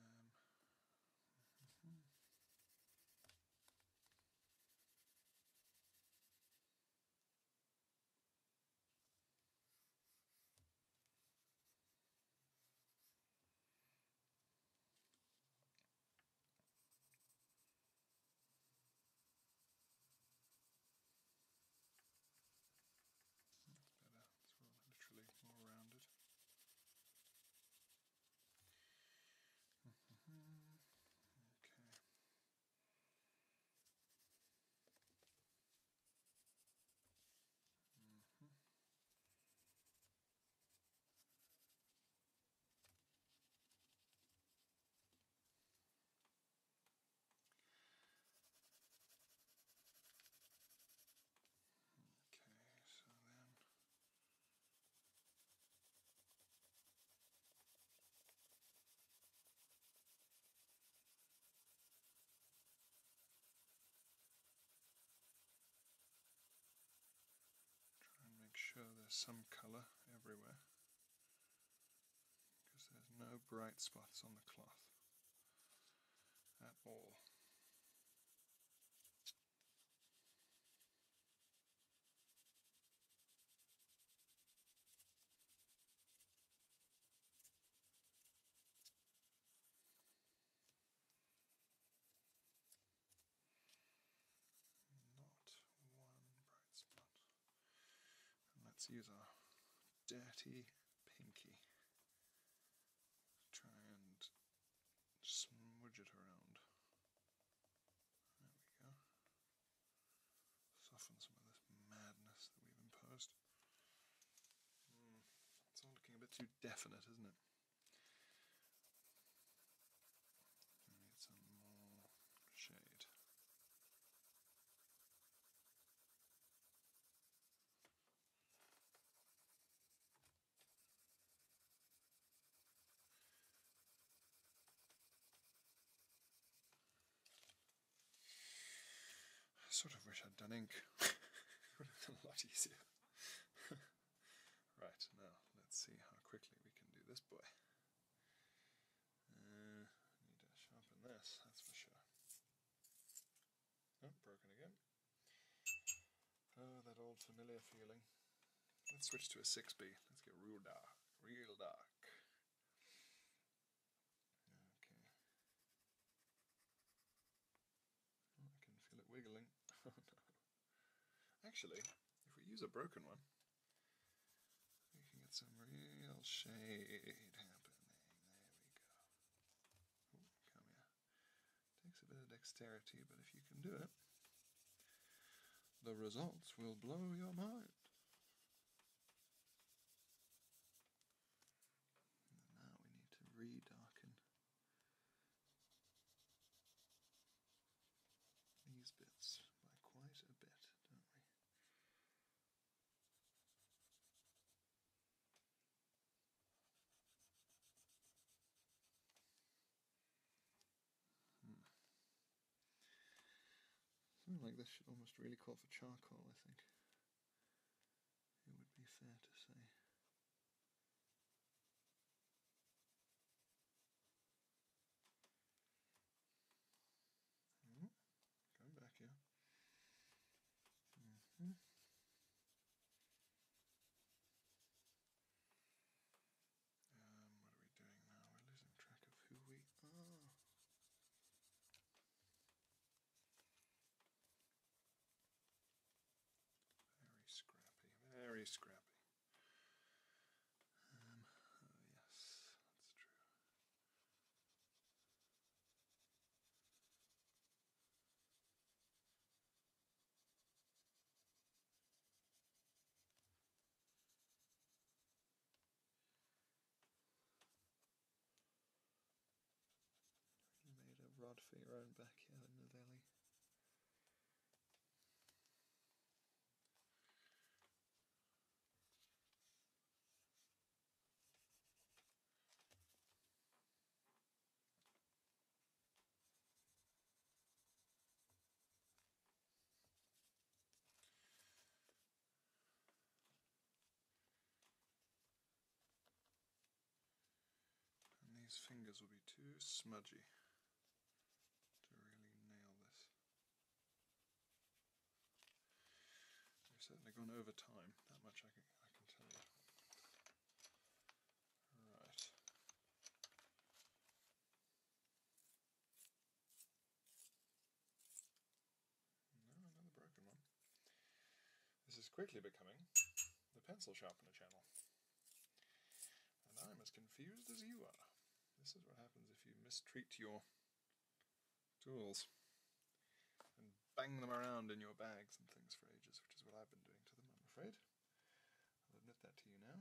mm -hmm. That's better so literally more rounded. okay. Mm -hmm try and make sure there's some colour everywhere because there's no bright spots on the cloth that all. Not one bright spot. let's use our dirty pinky try and smudge it around. There we go. Soften some of this madness that we've imposed. Hmm, it's all looking a bit too definite, isn't it? need some more shade. I sort of wish I'd done ink. (laughs) it would have been a lot easier. (laughs) right, now let's see how quickly we can do this boy. Uh, need to sharpen this, that's for sure. Oh, broken again. Oh, that old familiar feeling. Let's switch to a 6B. Let's get real dark. Real dark. Okay. Oh, I can feel it wiggling. (laughs) Oh, Actually, if we use a broken one, we can get some real shade happening. There we go. come here. Takes a bit of dexterity, but if you can do it, the results will blow your mind. now we need to redarken these bits by quite a bit, don't we? Hmm. Something like this almost really call for charcoal, I think. It would be fair to say. Hmm. Going back here. Mm-hmm. Um, what are we doing now? We're losing track of who we are. Very scrappy, very scrappy. Um, oh, yes, that's true. You made a rod for your own backyard in the valley these fingers will be too smudgy to really nail this. We've certainly gone over time, that much I can tell you another broken one. This is quickly becoming the pencil sharpener channel. And I'm as confused as you are. This is what happens if you mistreat your tools bang them around in your bags and things for ages, which is what I've been doing to them, I'm afraid. I'll admit that to you now.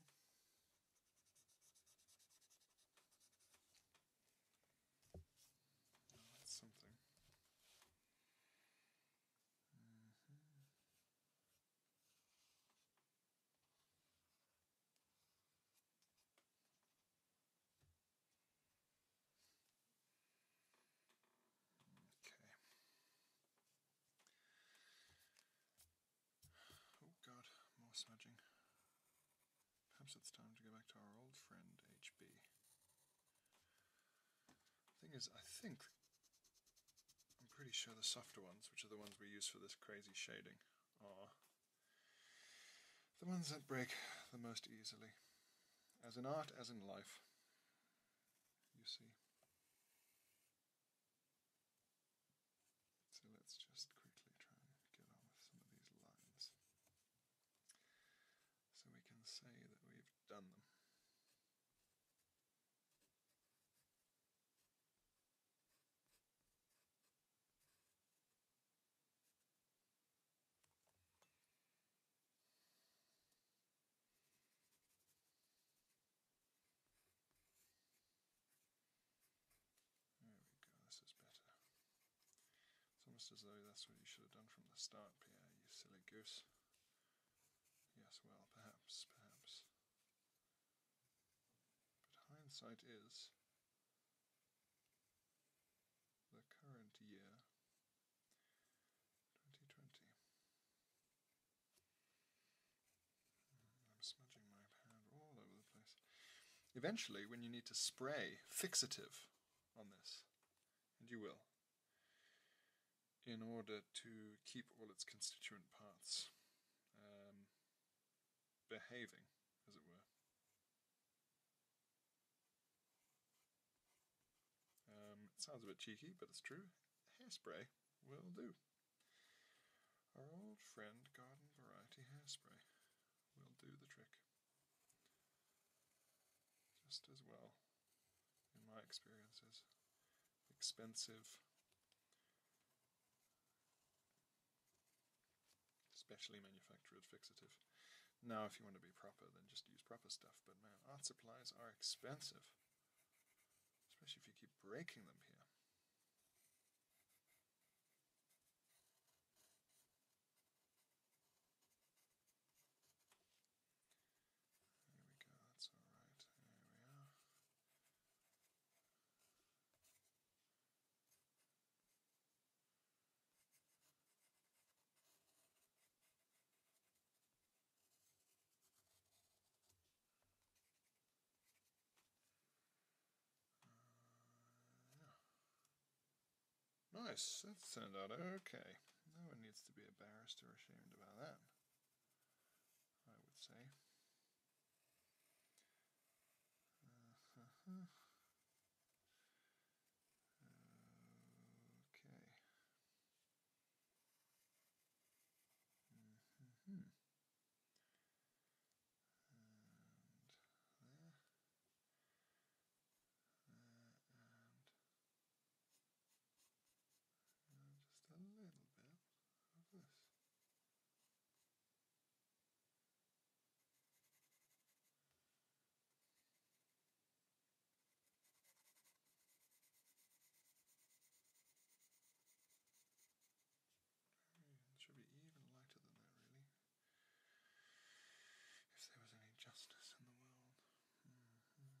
Mm-hmm. Oh, something. Mm-hmm. Okay. Oh god, more smudging. Perhaps it's time to go back to our old friend HB. Thing is, I think I'm pretty sure the softer ones, which are the ones we use for this crazy shading, are the ones that break the most easily. As in art, as in life, you see. So let's just quickly try and get on with some of these lines. So we can say that we've done them. There we go, this is better. It's almost as though that's what you should have done from the start, Pierre, you silly goose. Yes, well, perhaps, perhaps. But hindsight is the current year 2020. Hmm, I'm smudging my hand all over the place. Eventually, when you need to spray fixative on this, and you will, in order to keep all its constituent parts. Um, behaving, as it were. Um, it sounds a bit cheeky, but it's true. Hairspray will do. Our old friend Garden Variety Hairspray will do the trick. Just as well, in my experiences, expensive, specially manufactured fixative. Now, if you want to be proper, then just use proper stuff. But man, art supplies are expensive, especially if you keep breaking them here. There we go, that's alright. There we are. Uh, nice, that turned out okay. No one needs to be embarrassed or ashamed about that, I would say. Mm-hmm. Mm-hmm. Uh -huh. Okay. -hmm. And there. Uh, and just a little bit of this should be even lighter than that, really. If there was any justice in the world. Mm -hmm. hmm.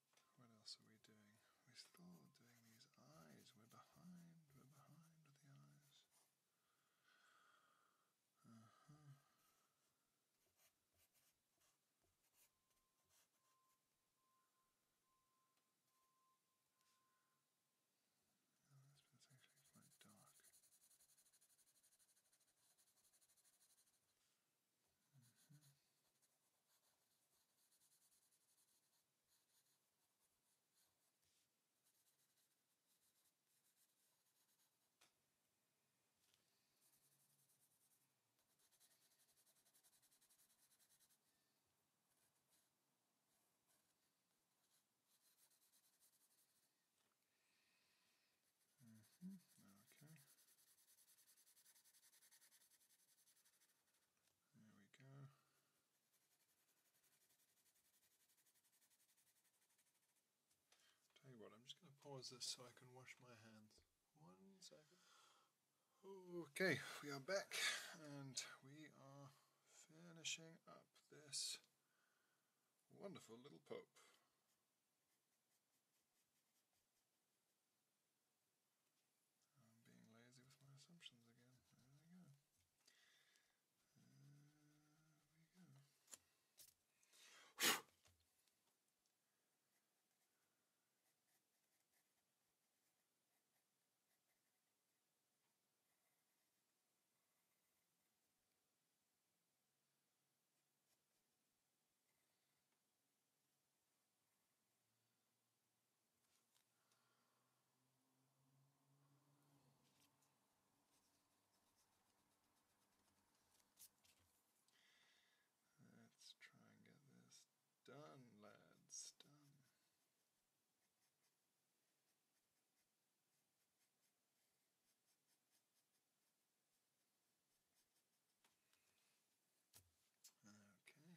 What else are we doing? We're still doing these eyes. We're behind. We're behind with the eyes. Uh huh. No, oh, this one's actually quite dark. Mm -hmm. Mm -hmm. Okay. There we go. Tell you what, I'm just going to pause this so I can wash my hands. One second. Okay, we are back and we are finishing up this wonderful little Pope. I'm being lazy with my assumptions again. There we go. There we go. Let's try and get this done, lads, done. Okay.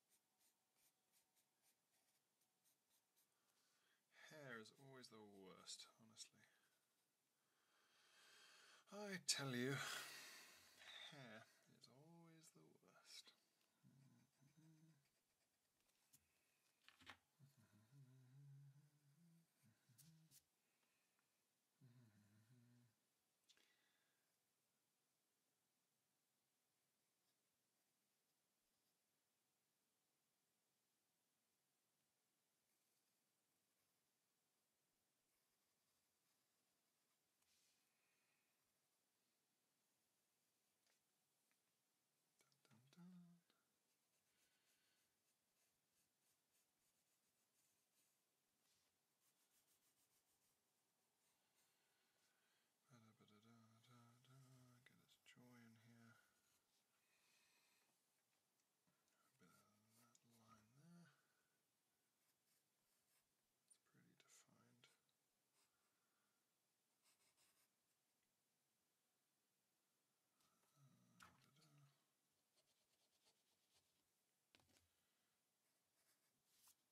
Hair is always the worst, honestly. I tell you, hair is always the worst. Dun, dun, dun. Get this joy in here. A bit of that line there. It's pretty defined. Uh, da -da.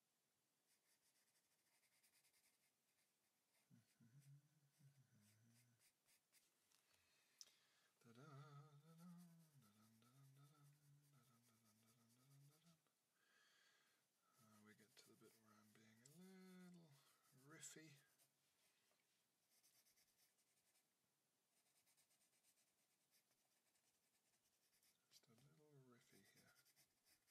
Uh, we get to the bit where I'm being a little riffy. Just a little riffy here.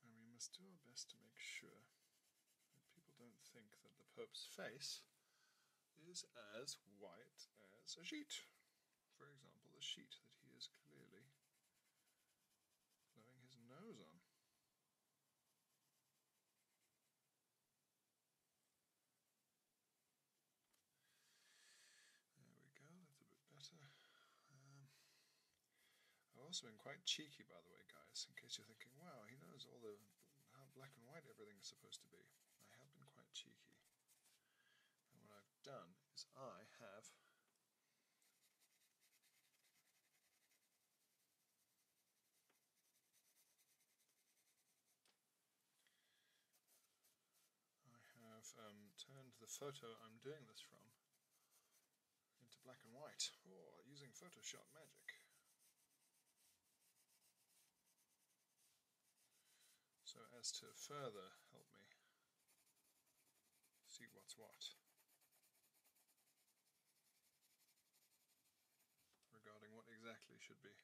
And we must do our best to make sure that people don't think that the Pope's face is as white as a sheet. For example, the sheet that he is clearly blowing his nose on. There we go, a little bit better. Um, I've also been quite cheeky, by the way, guys, in case you're thinking, wow, he knows all the how black and white everything is supposed to be. I have been quite cheeky. And what I've done is I have I have um, turned the photo I'm doing this from into black and white, or oh, using Photoshop magic. So as to further help me see what's what regarding what exactly should be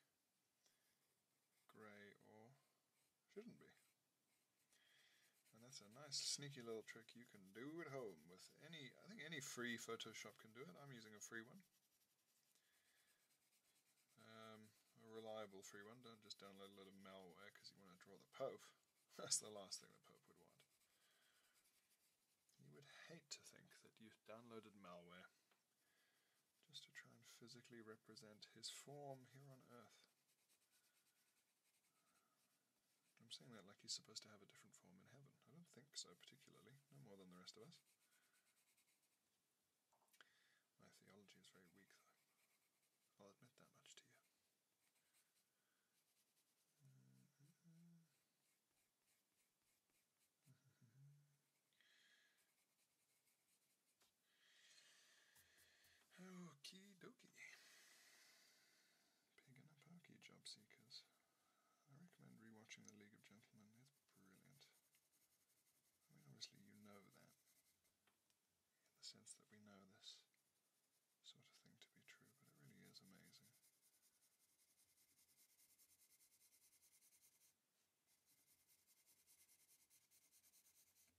grey or shouldn't be. And that's a nice sneaky little trick you can do at home with any, I think any free Photoshop can do it. I'm using a free one. Um, a reliable free one. Don't just download a lot of malware because you want to draw the Pope. (laughs) That's the last thing the Pope would want. You would hate to think that you've downloaded malware just to try and physically represent his form here on Earth. I'm saying that like he's supposed to have a different form in heaven. I don't think so, particularly, no more than the rest of us. My theology is very weak, though. I'll admit that much to you. Okie dokie. Pig and a Parky Job Seekers. I recommend rewatching The League of Gentlemen, it's brilliant. I mean, obviously, you know that, in the sense that we know this sort of thing to be true, but it really is amazing.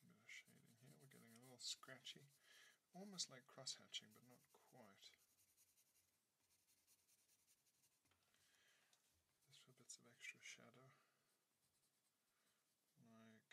A bit of shading here, we're getting a little scratchy, almost like cross hatching, but not quite. Just for bits of extra shadow, like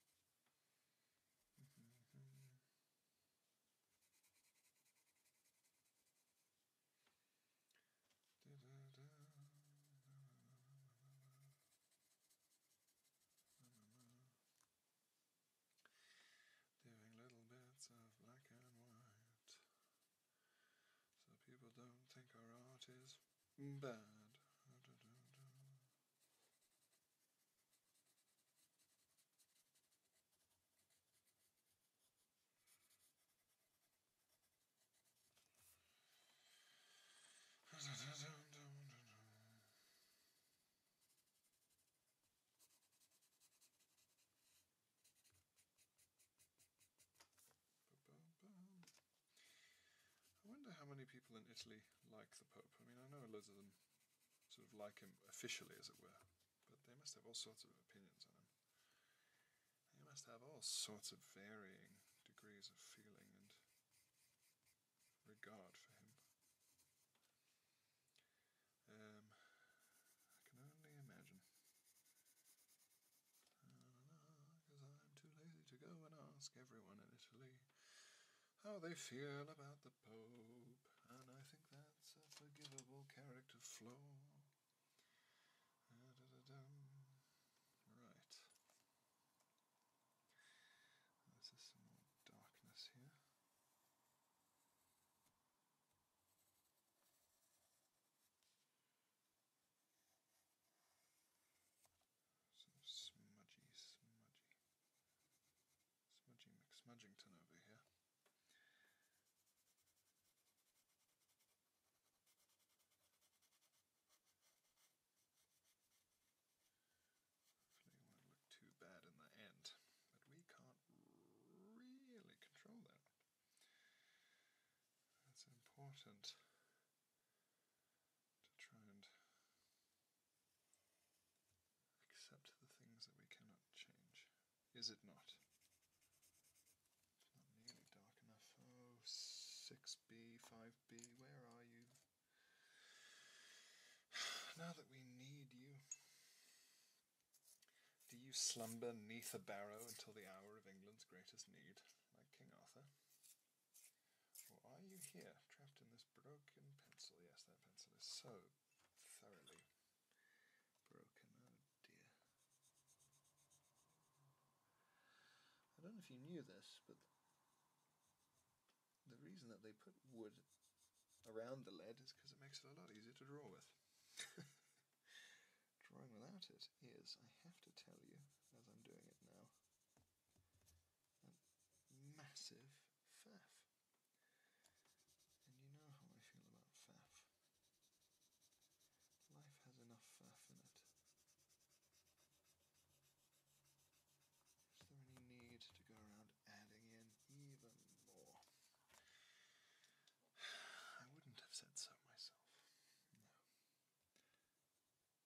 Da, da, Doing little bits of black and white so people don't think our art is bad. Boom, boom. I wonder how many people in Italy like the Pope. I mean, I know a lot of them sort of like him officially, as it were, but they must have all sorts of opinions on him. They must have all sorts of varying degrees of feeling and regard for him. Um, I can only imagine. Because I'm too lazy to go and ask everyone in Italy how they feel about the Pope, and I think that's a forgivable character flaw. Right. This is some more darkness here. Some smudgy, smudgy, smudgy McSmudgington over here. Hopefully, won't look too bad in the end, but we can't really control that. That's important to try and accept the things that we cannot change. Is it not? It's not nearly dark enough. Oh, b 5B, where are you? (sighs) Now that we need you. Do you slumber neath a barrow until the hour of England's greatest need, like King Arthur? Or are you here, trapped in this broken pencil? Yes, that pencil is so thoroughly broken. Oh dear. I don't know if you knew this, but the reason that they put wood around the lead is because it makes it a lot easier to draw with. (laughs) Drawing without it is, I have to tell you, as I'm doing it now, a massive faff. And you know how I feel about faff. Life has enough faff in it. Is there any need to go around adding in even more? (sighs) I wouldn't have said so myself this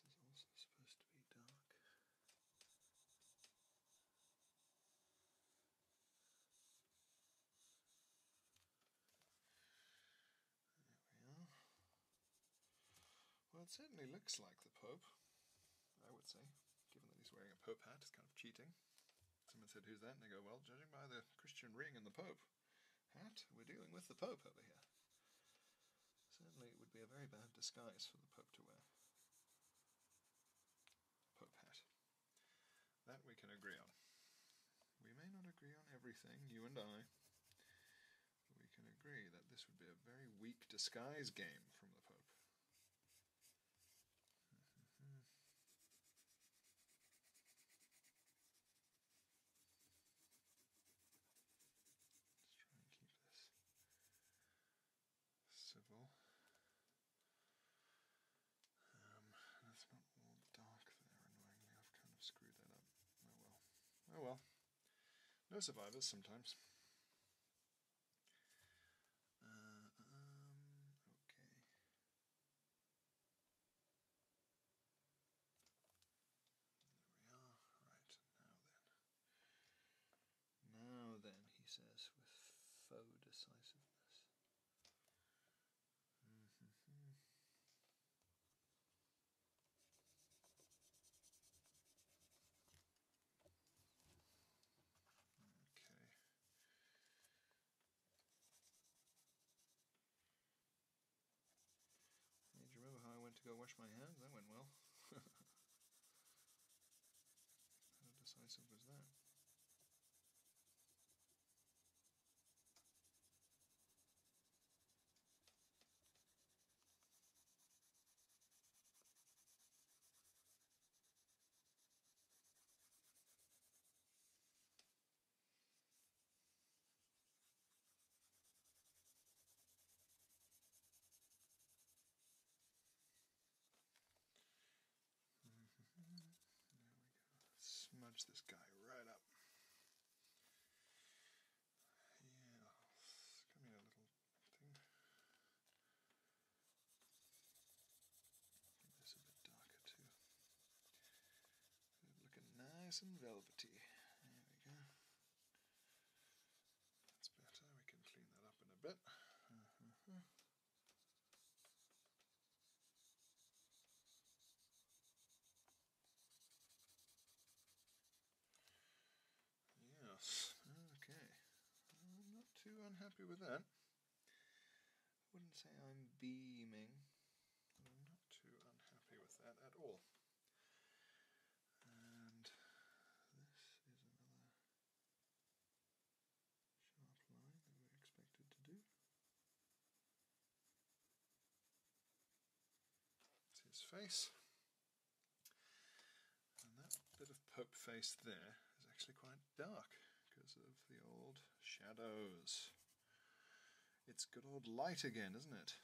is also supposed to be dark. There we are. Well, it certainly looks like the Pope, I would say, given that he's wearing a Pope hat, it's kind of cheating. Someone said, Who's that? And they go, Well, judging by the Christian ring and the Pope hat, we're dealing with the Pope over here. Certainly, it would be a very bad disguise for the Pope to wear. Pope hat. That we can agree on. We may not agree on everything, you and I, but we can agree that this would be a very weak disguise game from the Pope. Let's try and keep this civil. Um, and not all dark there, annoyingly. I've kind of screwed that up. Oh well. Oh well. No survivors sometimes. Uh, um, okay. There we are. Right, now then. Now then, he says with faux decisiveness. Mm-hmm. Okay. Do you remember how I went to go wash my hands? That went well. (laughs) how decisive was that? Mm-hmm. there we go. Smudge this guy right up. Yeah, it's coming a little thing. Make this a bit darker too. Looking nice and velvety. There we go. That's better. We can clean that up in a bit. Yes, okay. not too unhappy with that. I wouldn't say I'm beaming. I'm not too unhappy with that at all. And this is another sharp line that we're expected to do. It's his face. And that bit of Pope face there is actually quite dark because of the old shadows. It's good old light again, isn't it?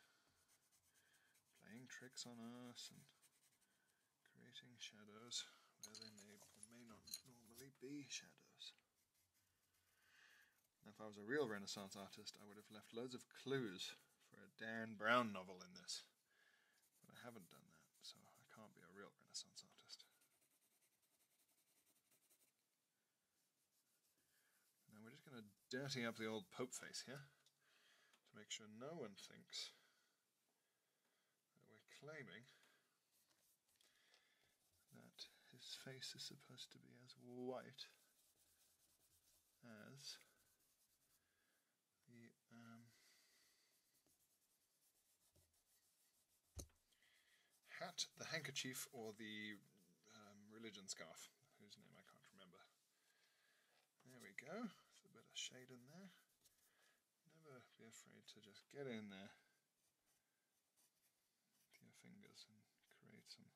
Playing tricks on us and creating shadows where they may or may not normally be shadows. if I was a real Renaissance artist, I would have left loads of clues for a Dan Brown novel in this. But I haven't done that, so I can't be a real Renaissance artist. Now we're just going to dirty up the old Pope face here to make sure no one thinks that we're claiming that his face is supposed to be as white as the um, hat, the handkerchief, or the um, religion scarf, whose name I can't remember. There we go. a bit of shade in there. Never be afraid to just get in there with your fingers and create some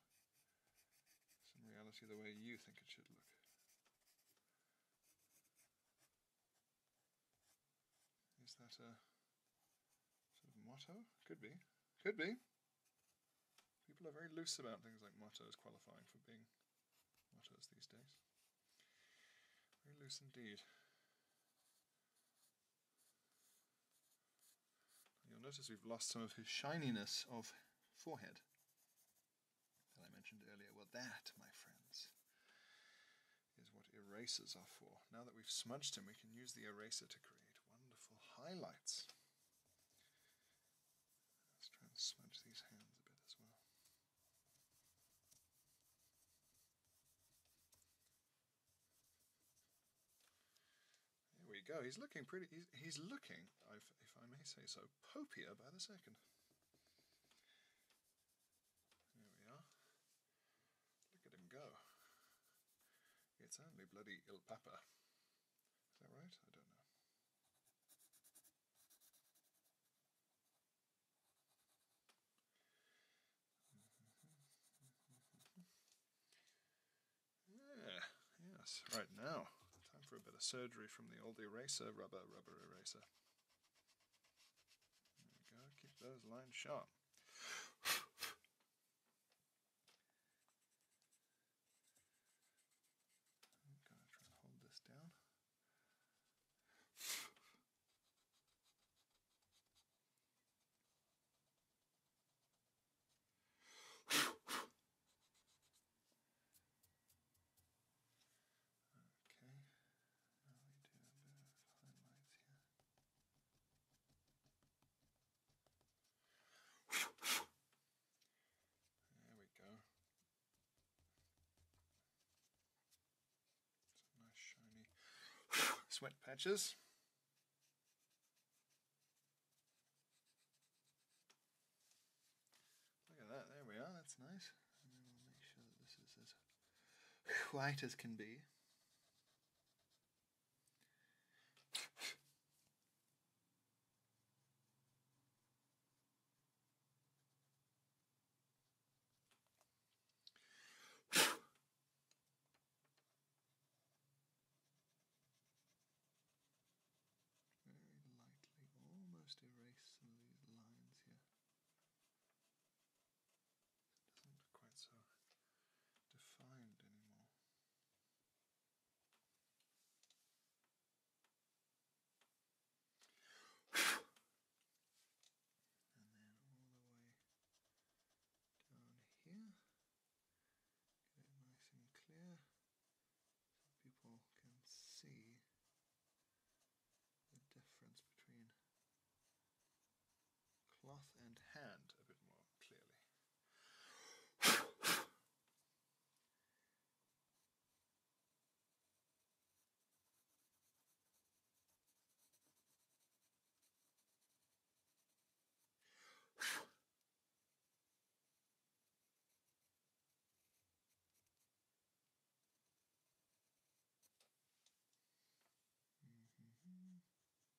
some reality the way you think it should look. Is that a sort of motto? Could be. Could be. People are very loose about things like mottos qualifying for being mottos these days. Very loose indeed. You'll notice we've lost some of his shininess of forehead that I mentioned earlier. Well, that, my friends, is what erasers are for. Now that we've smudged him, we can use the eraser to create wonderful highlights. Let's try and smudge these hands a bit as well. There we go. He's looking pretty. He's, looking, if, if I may say so, popier by the second. There we are. Look him go. It's only bloody Il Papa. Is that right? I don't know. Yeah, yes, right now. Time for a bit of surgery from the old eraser, rubber, rubber eraser. There we go, keep those lines sharp. I'm going to try and hold this down. (sighs) Okay, there we go. nice shiny sweat patches. Look at that, there we are, that's nice. make sure this is white as can be. Very lightly, almost erase some of these lines here. It doesn't quite so defined anymore. and then all the way down here. Get it nice and clear so people can see the difference between cloth and hand a bit more clearly.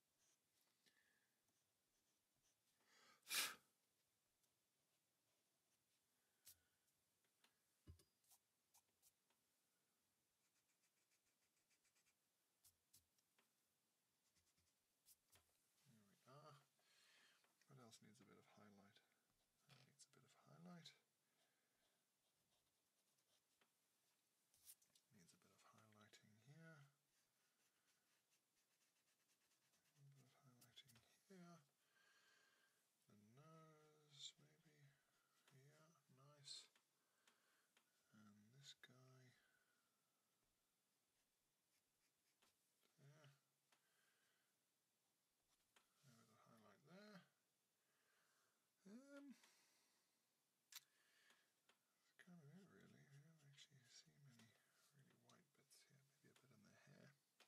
There we are. What else needs a bit of highlight? needs a bit of highlight. Needs a bit of highlighting here. A bit of highlighting here. The nose, maybe. Yeah, nice. And this guy. There. highlight there. Um, that's kind really. I don't actually see many really white bits here, maybe a bit in the hair.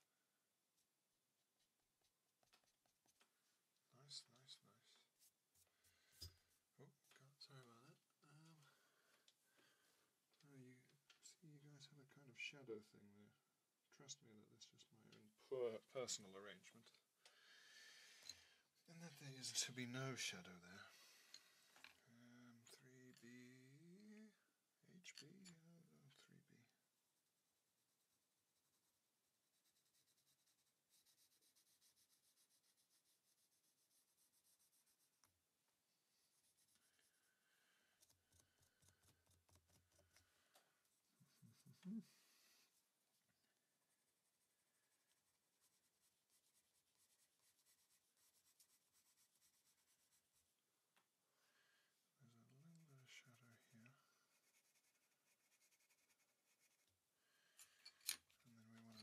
Nice, nice, nice. Oh, God, sorry about that. Um, you see, you guys have a kind of shadow thing there. Trust me that that's just my own poor personal arrangement. And that there is to be no shadow there. 3B, um, 3B. There's a little bit of shadow here. And then we want to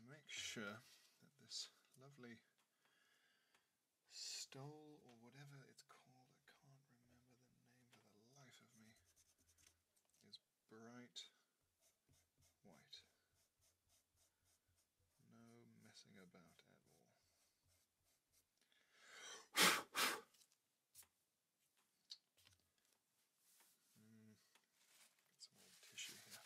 make sure that this lovely stole or whatever it's called, I can't remember the name for the life of me, is bright white. No messing about at all. Mm, get some old tissue here.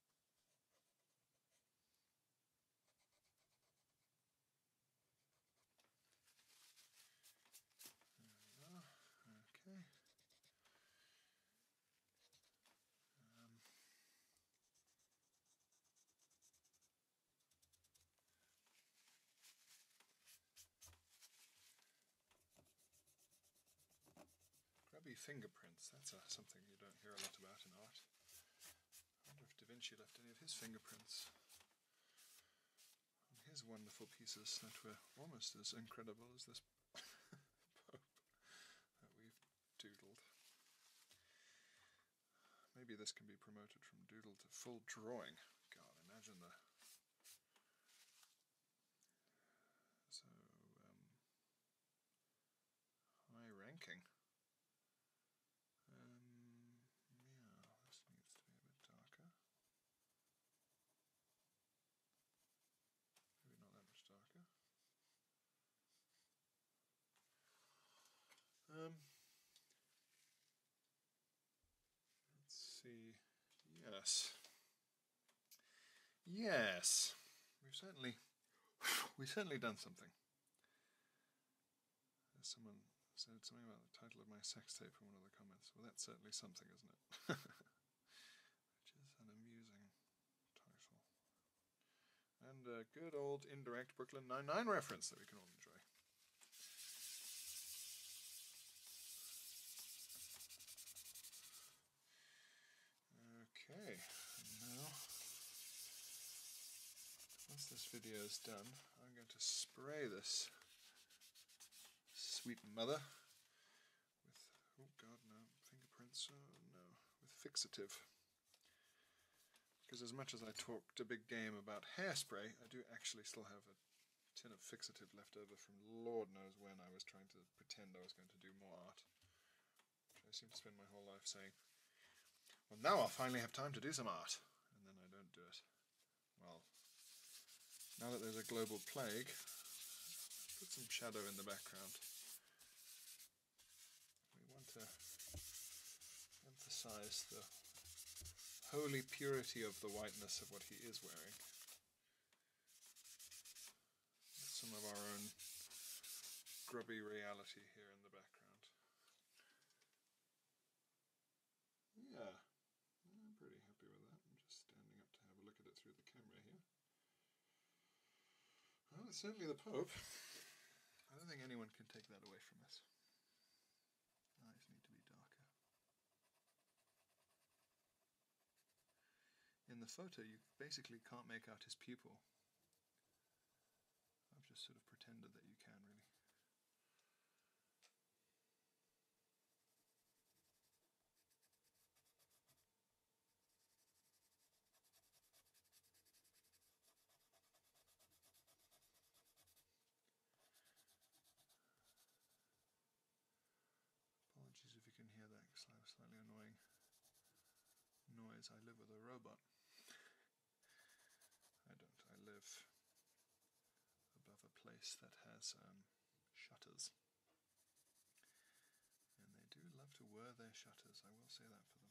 There we go. Okay. Um, Grubby fingerprints, that's something you don't hear a lot about in art. I wonder if Da Vinci left any of his fingerprints on his wonderful pieces that were almost as incredible as this (laughs) Pope that we've doodled. Maybe this can be promoted from doodle to full drawing. God, imagine the... So, um, High ranking. Um, yeah, this needs to be a bit darker. Maybe not that much darker. Um, let's see. Yes. Yes. We've certainly, (laughs) we've certainly done something. Someone said something about the title of my sex tape in one of the comments. Well, that's certainly something, isn't it? (laughs) Which is an amusing title. And a good old indirect Brooklyn Nine-Nine reference that we can all enjoy. Okay, now once this video is done, I'm going to spray this sweet mother with, oh god no, fingerprints, oh no, with fixative. Because as much as I talked a big game about hairspray, I do actually still have a tin of fixative left over from lord knows when I was trying to pretend I was going to do more art. I seem to spend my whole life saying, well, now I'll finally have time to do some art, and then I don't do it. Well, now that there's a global plague, put some shadow in the background. We want to emphasize the holy purity of the whiteness of what he is wearing. some of our own grubby reality here in the background. Yeah, I'm pretty happy with that. I'm just standing up to have a look at it through the camera here. certainly the Pope. I don't think anyone can take that away from us. Eyes need to be darker. In the photo, you basically can't make out his pupil. I've just sort of pretended that you can really. Apologies if you can hear that because I was slightly annoying noise. I live with a robot. I don't. I live above a place that has um, shutters. And they do love to whir their shutters, I will say that for them.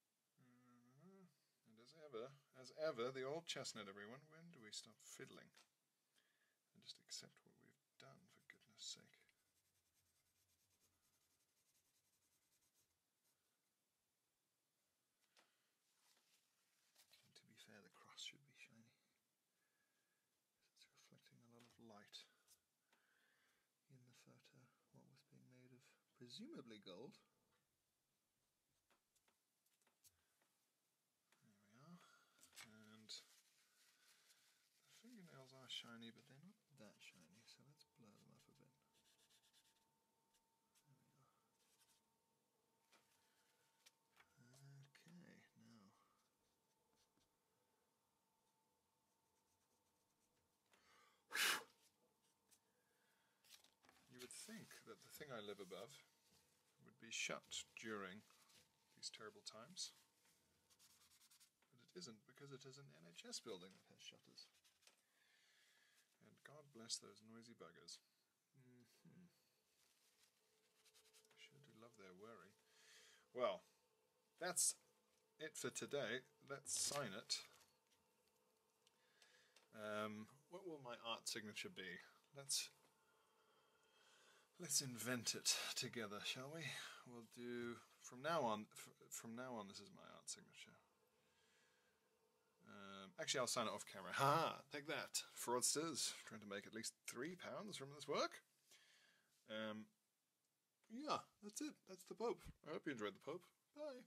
Mm-hmm. And as ever, as ever, the old chestnut, everyone, when do we stop fiddling? And just accept what we've done, for goodness sake. to be fair, the cross should be shiny. It's reflecting a lot of light in the photo, what was being made of presumably gold. There we are. And the fingernails are shiny, but they're not that shiny, so let's blur them up a bit. Okay, now. You would think that the thing I live above would be shut during these terrible times, but it isn't because it is an NHS building that has shutters. And God bless those noisy buggers. Mm-hmm. I sure do love their worry. Well, that's it for today. Let's sign it. Um, what will my art signature be? Let's let's invent it together, shall we? We'll do from now on. From now on, this is my art signature. Um, actually, I'll sign it off camera. Ha! Take that, fraudsters! Trying to make at least three pounds from this work. Um, yeah, that's it. That's the Pope. I hope you enjoyed the Pope. Bye.